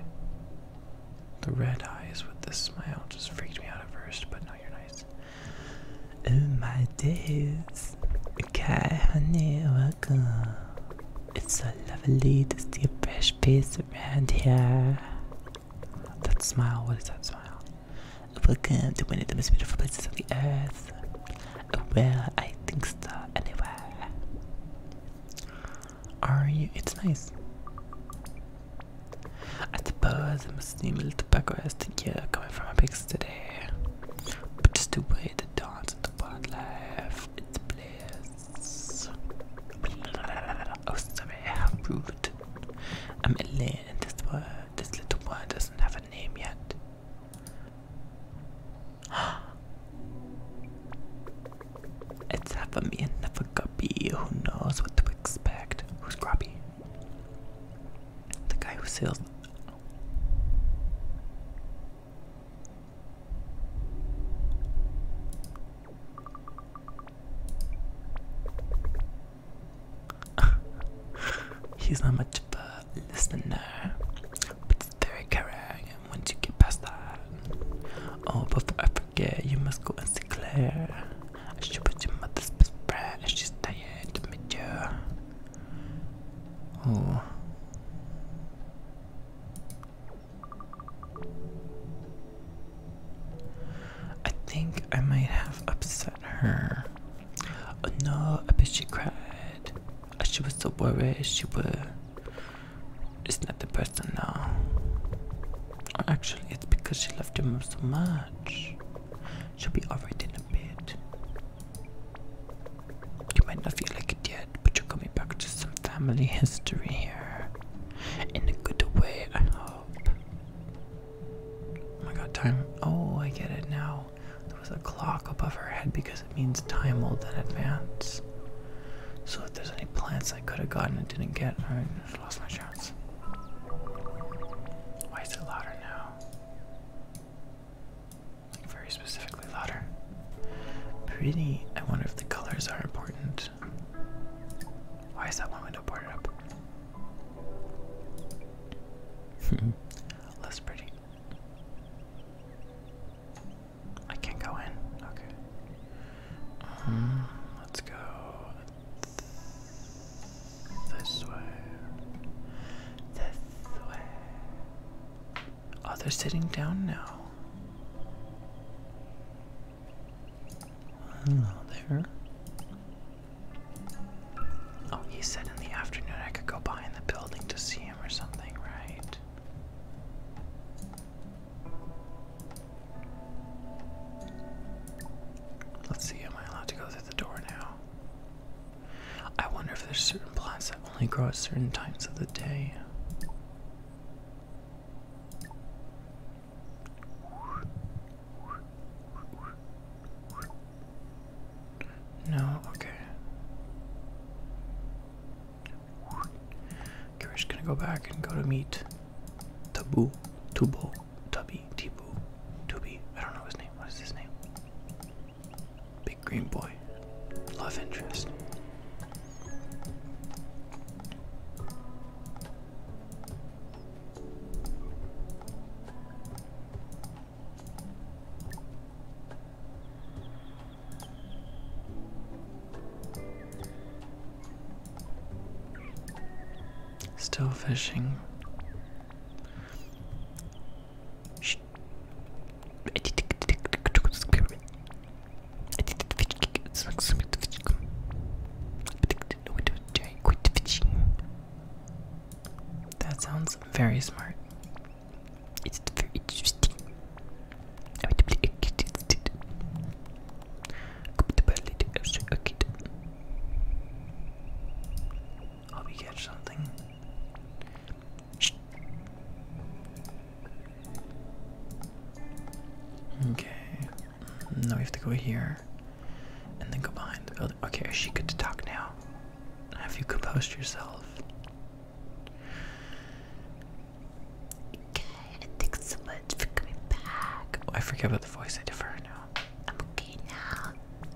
The red eyes with the smile just freaked me out at first, but now you're nice. Oh my days. Okay, honey, welcome. It's so lovely to see a fresh face around here. That smile, what is that smile? Welcome to one of the most beautiful places on the earth. Where I think so, anyway. Are you? It's nice. I suppose I'm a snimmel tobacco as to you coming from a big city. But just the way the dance and the bad life, it's bliss. Oh, sorry, rude. I'm a lion in this world. this little boy doesn't have a name yet. It's half a me and half a guppy. Who knows what to expect? Who's Grubby? the guy who sells He's not much of a listener, but it's very caring. And once you get past that, oh, before I forget, you must go and see Claire. I should put your mother's best friend, and she's tired to meet you. Oh. I think I might have upset her. Oh, no, I bet she cried. She was so worried she was. It's not the person now. Actually, it's because she loved him so much. She'll be alright in a bit. You might not feel like it yet, but you're coming back to some family history here. In a good way, I hope. Oh my god, time. Oh, I get it now. There was a clock above her head because it means time will then advance. So if there's any plants I could have gotten and didn't get, I just lost my chance. Why is it louder now? very specifically louder. Pretty. I wonder if the colors are important. Why is that one window boarded up? Less pretty. I can't go in. Okay. Um, let's go this way. This away. Oh, they're sitting down now. Hello oh, there. Oh, he said in the afternoon I could go behind the building to see him or something, right? Let's see, am I allowed to go through the door now? I wonder if there's certain plants that only grow at certain times of the day. No, okay. Okay, we're just gonna go back and go to meet Taboo, Tubo, Tubby, Tibu, Tubi. I don't know his name. What is his name? Big green boy. Love interest. Still fishing. Shh. That sounds very smart. It's very interesting. I would be excited. Hope you catch something. Okay. Now we have to go here. And then go the building. Okay, is she good to talk now? Have you composed yourself? Okay, thanks so much coming back. Oh, I forget about the voice I defer now. I'm okay now.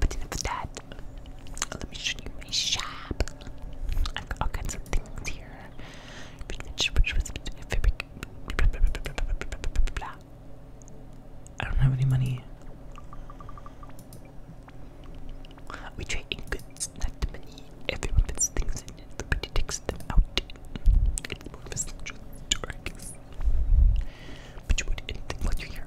But enough of that. Let me show you my shop. i got all kinds of things here. I don't have any money. We trade in goods, not the money. Everyone puts things in and nobody takes them out. It's more of a But you would anything while here.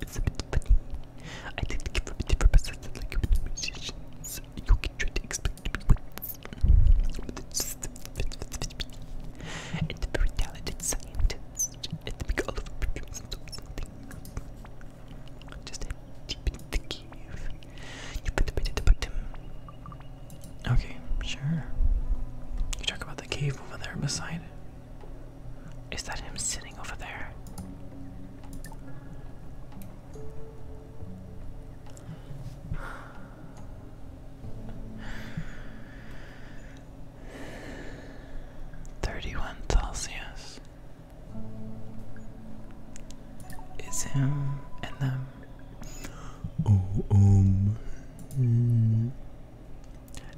It's a bit funny. I did give a bit different perspective like with musicians. You can try to explain to me what's but it's just it's a very talented scientist. It's big all over perfumes and something. Just a deep in the cave. You put a bit at the bottom. Okay, sure. You talk about the cave over there beside. Is that him sitting over there? Thirty-one Celsius. It's him and them. Oh um. Hmm.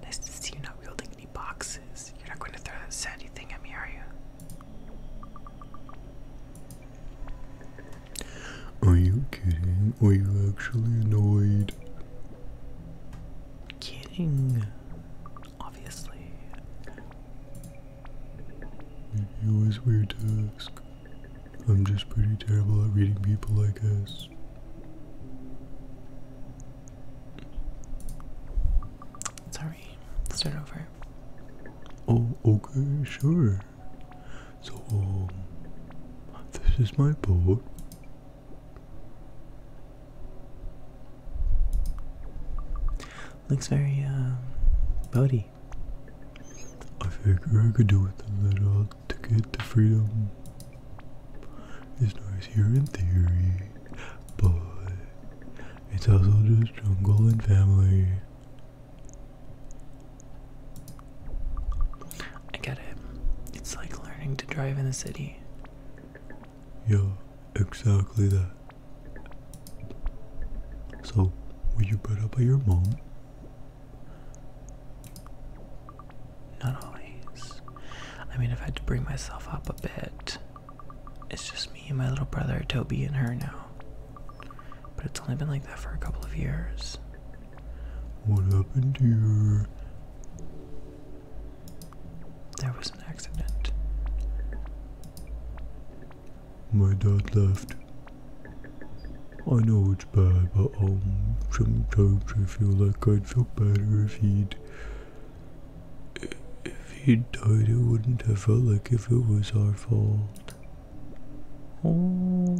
Nice to see you are not wielding any boxes. You're not going to throw that sandy thing at me, are you? Are you kidding? Are you actually annoyed? Kidding, obviously. It was weird to ask. I'm just pretty terrible at reading people, I guess. Sorry, start over. Oh, okay, sure. So, um, this is my boat. Looks very, um, boaty. I figure I could do with a little to get to freedom is nice here in theory, but it's also just jungle and family. I get it. It's like learning to drive in the city. Yeah, exactly that. So, were you brought up by your mom? Not always. I mean, I've had to bring myself up a bit. It's just me and my little brother Toby and her now. But it's only been like that for a couple of years. What happened here? There was an accident. My dad left. I know bad, but um, sometimes I feel like I'd feel better if he'd. If he'd died, it wouldn't have felt like if it was our fault. Oh.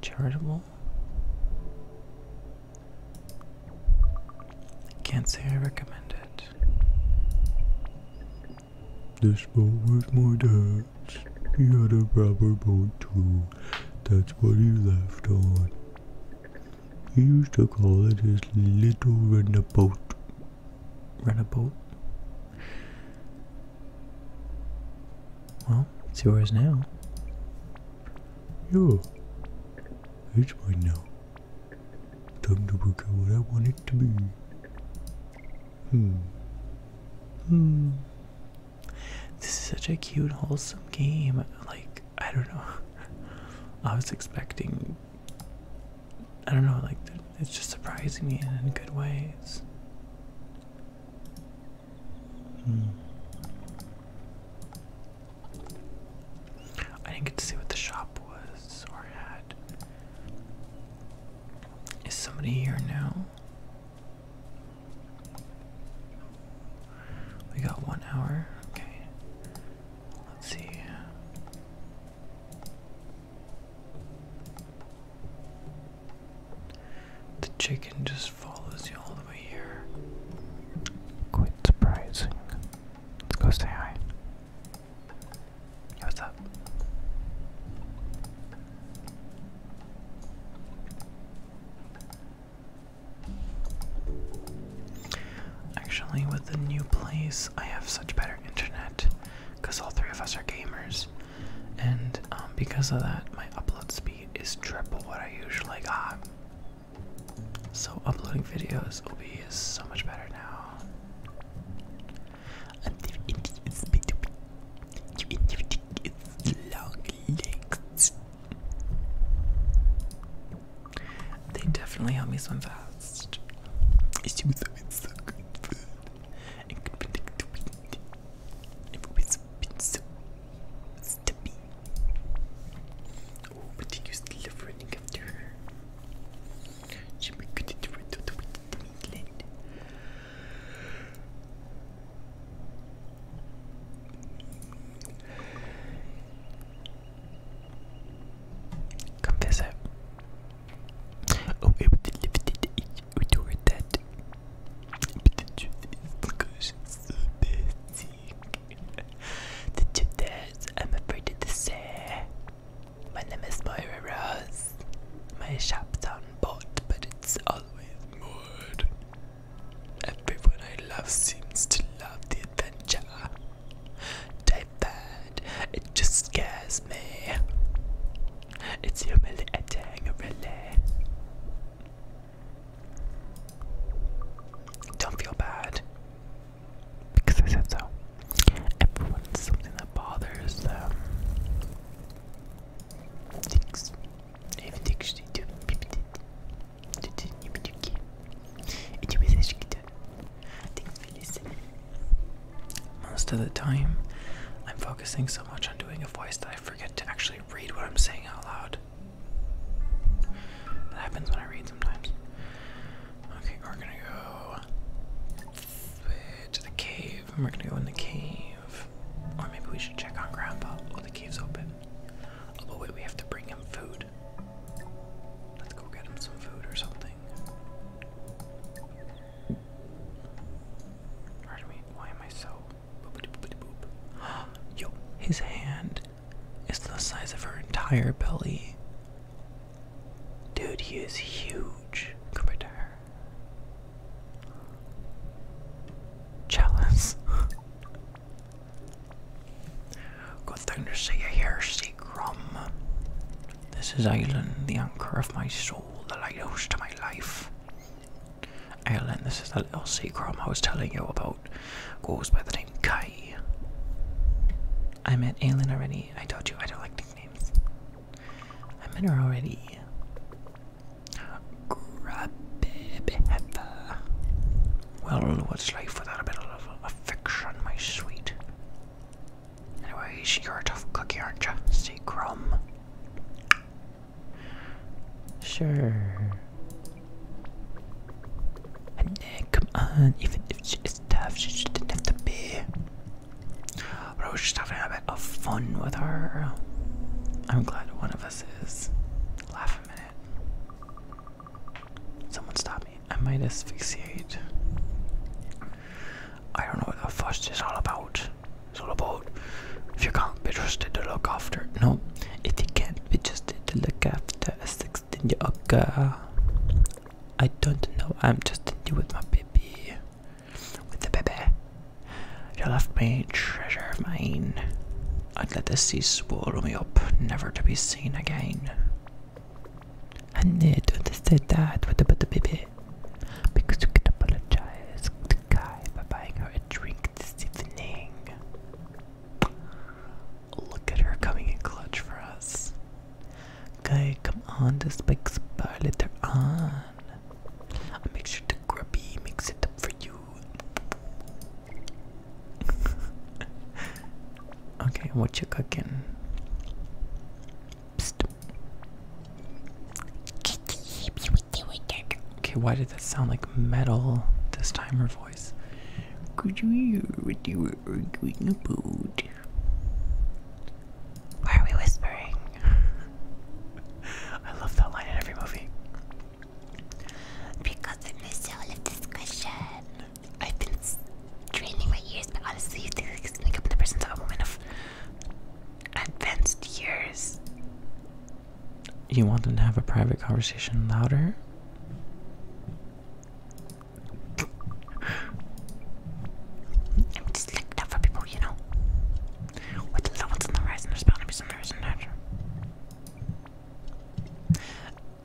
Charitable? Can't say I recommend it. This boat was my dad. He had a rubber boat too. That's what he left on. He used to call it his little runabout. Runabout? Well, it's yours now. Yeah. It's mine now. Time to work out what I want it to be. Hmm. Hmm. This is such a cute, wholesome game. Like, I don't know. I was expecting. I don't know, like, it's just surprising me in good ways. Hmm. I didn't get to see what the shop was or had. Is somebody here now? We got one hour. Okay. Let's see. The chicken just follows you all the way here. Quite surprising. Let's go say hi. What's up? Actually, with the new place, I have such better internet because all three of us are gamers, and um, because of that, my upload speed is triple what I usually got. So, uploading videos will be so much better now. You idiotic, it's long legs. They definitely help me swim fast. She so good food and could predict the wind. Oh, but you used to running after her. Come Oh, it would live it, we do it But the truth because it's so busy. the truth is, I'm afraid to say. My name is Myra Rose. My shop's on board, but it's always Everyone I love seems to love the adventure. Type that, it just scares me. It's humiliating, really. Don't feel bad. Because I said so. Everyone's something that bothers them. Thanks. Most of the time, I'm focusing so much on doing a voice that I forget to actually read what I'm saying out loud. That happens when I read sometimes. Okay, we're gonna go to the cave cave, we're gonna go in the cave. Or maybe we should check on Grandpa. Oh, the cave's open. Oh, but wait, we have to bring him food. Let's go get him some food or something. Pardon me, why am I so. Yo, his hand is the size of her entire belly. Dude, he is huge compared to her. Jealous. Good thing to see you here, Seagrum. This is Island, the anchor of my soul, the lighthouse to my life. Island, this is the little Seagrum I was telling you about. Goes by the name Kai. I met Aileen already. I told you I don't like nicknames. I met her already. Grab baby Well, what's life without a bit of affection, my sweet? Anyways, you're a tough cookie, aren't you? See, crumb. Sure. And then, come on, even if it's tough, she didn't have to be. But I just having a bit of fun with her. I'm glad one of Laugh a minute. Someone stop me. I might asphyxiate. I don't know what the fuss is all about. It's all about if you can't be trusted to look after. No, if you can't be trusted to look after a 16 year old girl. I don't know. I'm just in you with my baby. With the baby. You left me treasure of mine. I'd let the sea swallow me up, never to be seen again. I need to understand say that what about the baby. Because you can apologize to the guy by buying her a drink this evening. Look at her coming in clutch for us. Guy, come on, this spikes by on. I'll make sure grubby mix it up for you. okay, what you cooking? Okay, why did that sound like metal this time? Her voice. Why are we whispering? I love that line in every movie. Because I missed all of this I've been training my ears, but honestly, you think like I'm the of advanced years. You want them to have a private conversation louder? I'm just looking out for people, you know. With the levels there's bound to be some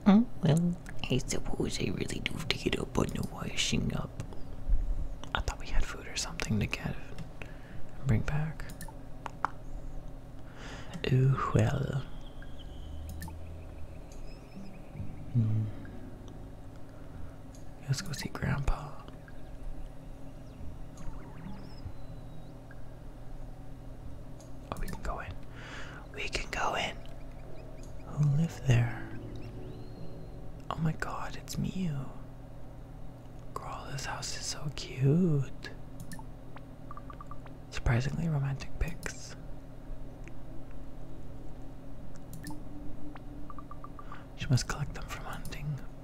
Oh, well, I suppose I really do have to get up on the washing up. I thought we had food or something to get and bring back. Oh, well. Hmm. Let's go see Grandpa. Oh, we can go in. We can go in. Who lived there? Oh my god, it's Mew. Girl, house is so cute. Surprisingly romantic pics. She must collect them from hunting.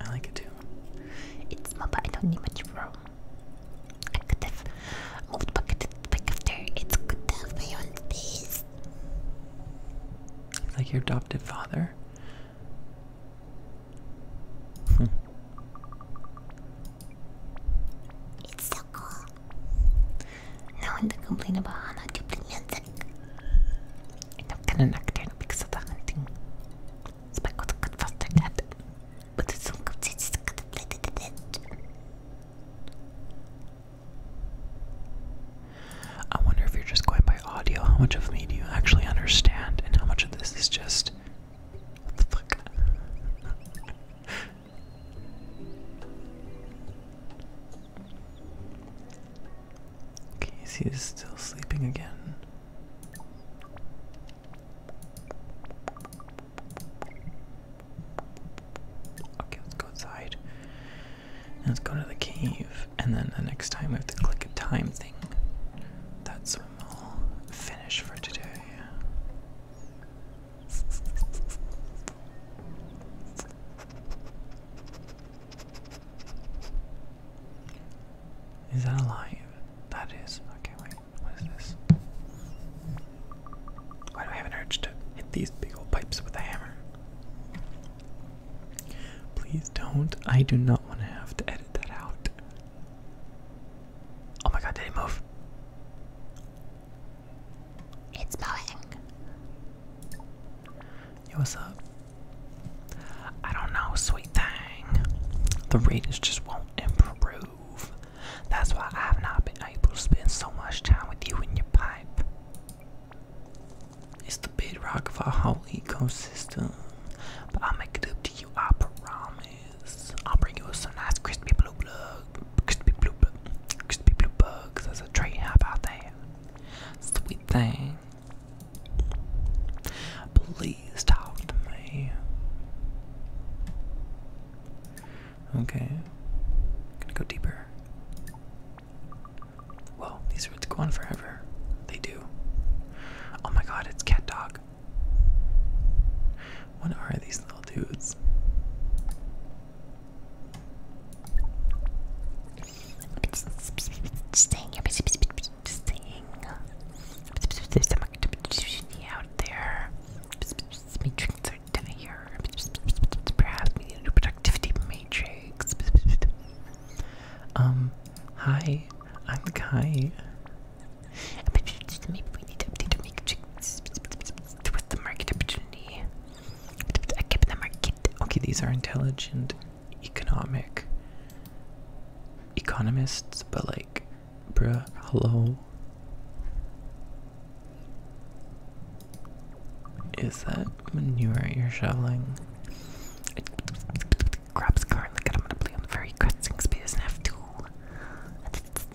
I like it. too. It's mobile, I don't need much room. I could have moved back, back after it's good to have my own space. Like your adopted father? it's so cool. No one to complain about Hana duplicate I don't gonna play the dead. wonder if you're just going by audio, how much of me do you actually understand, and how much of this is just. the fuck? Casey is still sleeping again. Okay, let's go outside. Let's go to the cave. And then the next time we have to click a time thing. That's when we for today. Is that alive? That is. Okay, wait. What is this? Why do I have an urge to hit these big old pipes with a hammer? Please don't. I do not want to have to edit that out. Oh my god, did moved. It's moving. Yo, what's up? I don't know, sweet thing. The readings just won't improve. That's why I have not been able to spend so much time with you and your pipe. It's the bedrock of our whole ecosystem. But I'll make it up to you, I promise. I'll bring you some nice crispy blue bug, crispy blue bug, crispy blue bugs as a treat. How about that? Sweet thing. Please talk to me. Okay. I'm gonna go deeper. Well, these roots go on forever. They do. Oh my god, it's cat dog. What are these little dudes? Staying staying out there. Matrix we need a new productivity matrix. Um, hi, I'm Kai. Maybe the market opportunity. I kept the market. Okay, these are intelligent economic economists, but like, bruh, hello. Is that manure you're shoveling? Crops currently predominantly on the very cresting space and have two.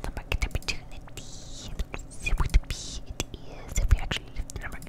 The market opportunity. It is if we actually lift the number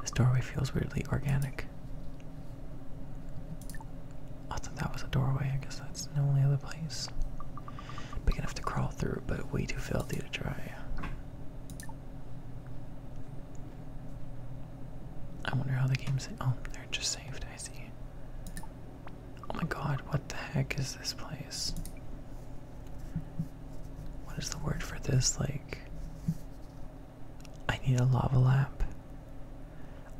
This doorway feels weirdly organic. I thought that was a doorway. I guess that's the only other place. Big enough to crawl through, but way too filthy to try. I wonder how the game's. Oh, they're just saved. I see. Oh my god, what the heck is this place? what is the word for this? Like, I need a lava lamp.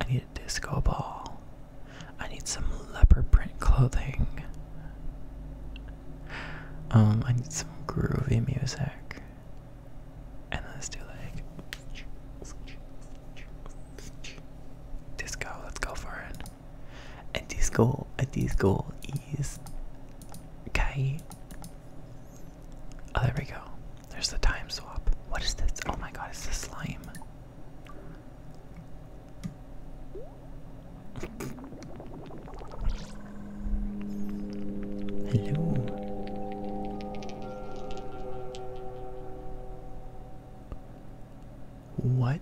I need a disco ball. I need some leopard print clothing. Um, I need some groovy music. And let's do like disco. Let's go for it. A disco, a disco is okay. Oh, there we go. There's the time swap. What is this? Oh my god, it's the slime. Hello. What?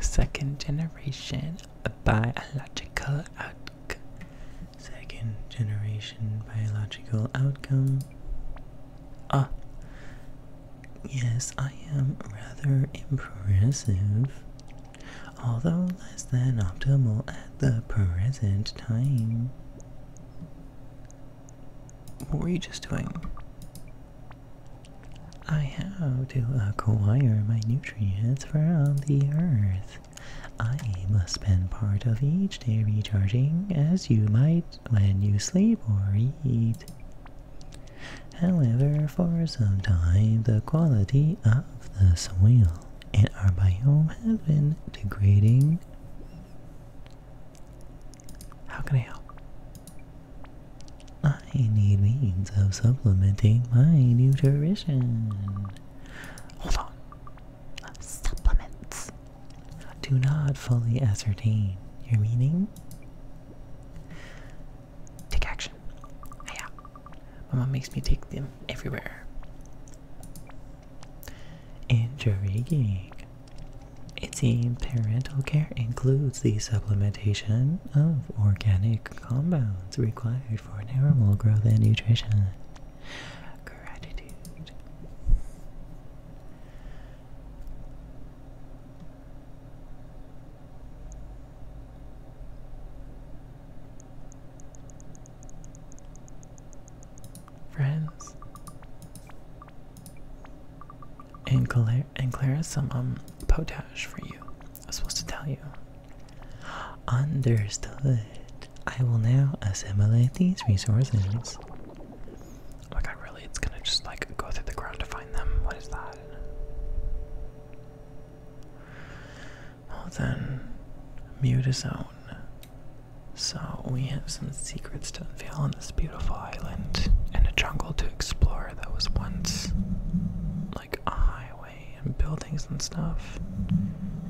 Second generation a biological outcome. Second generation biological outcome. Ah, yes, I am rather impressive, although less than optimal at the present time. What were you just doing? I have to acquire my nutrients from the earth. I must spend part of each day recharging as you might when you sleep or eat. However, for some time the quality of the soil in our biome has been degrading. How can I help? I need means of supplementing my nutrition. Hold on. Supplements. Do not fully ascertain your meaning. Take action. Yeah. My mom makes me take them everywhere. Intriguing. It seems parental care includes the supplementation of organic compounds required for normal growth and nutrition. Gratitude. Friends. And Claire, and Claire has some um potash for you. I was supposed to tell you. Understood. I will now assimilate these resources. Oh my god, really? It's gonna just like go through the ground to find them? What is that? Well then, mute his own. So we have some secrets to unveil on this beautiful island and a jungle to explore that was once like a highway and buildings and stuff.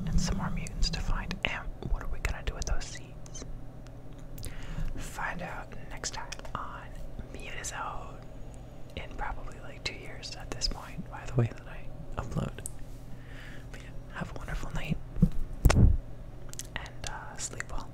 And some more mutants to find. And what are we gonna do with those seeds? Find out next time on Mutazone. In probably like two years at this point, by the way that I upload. yeah, have a wonderful night. And uh, sleep well.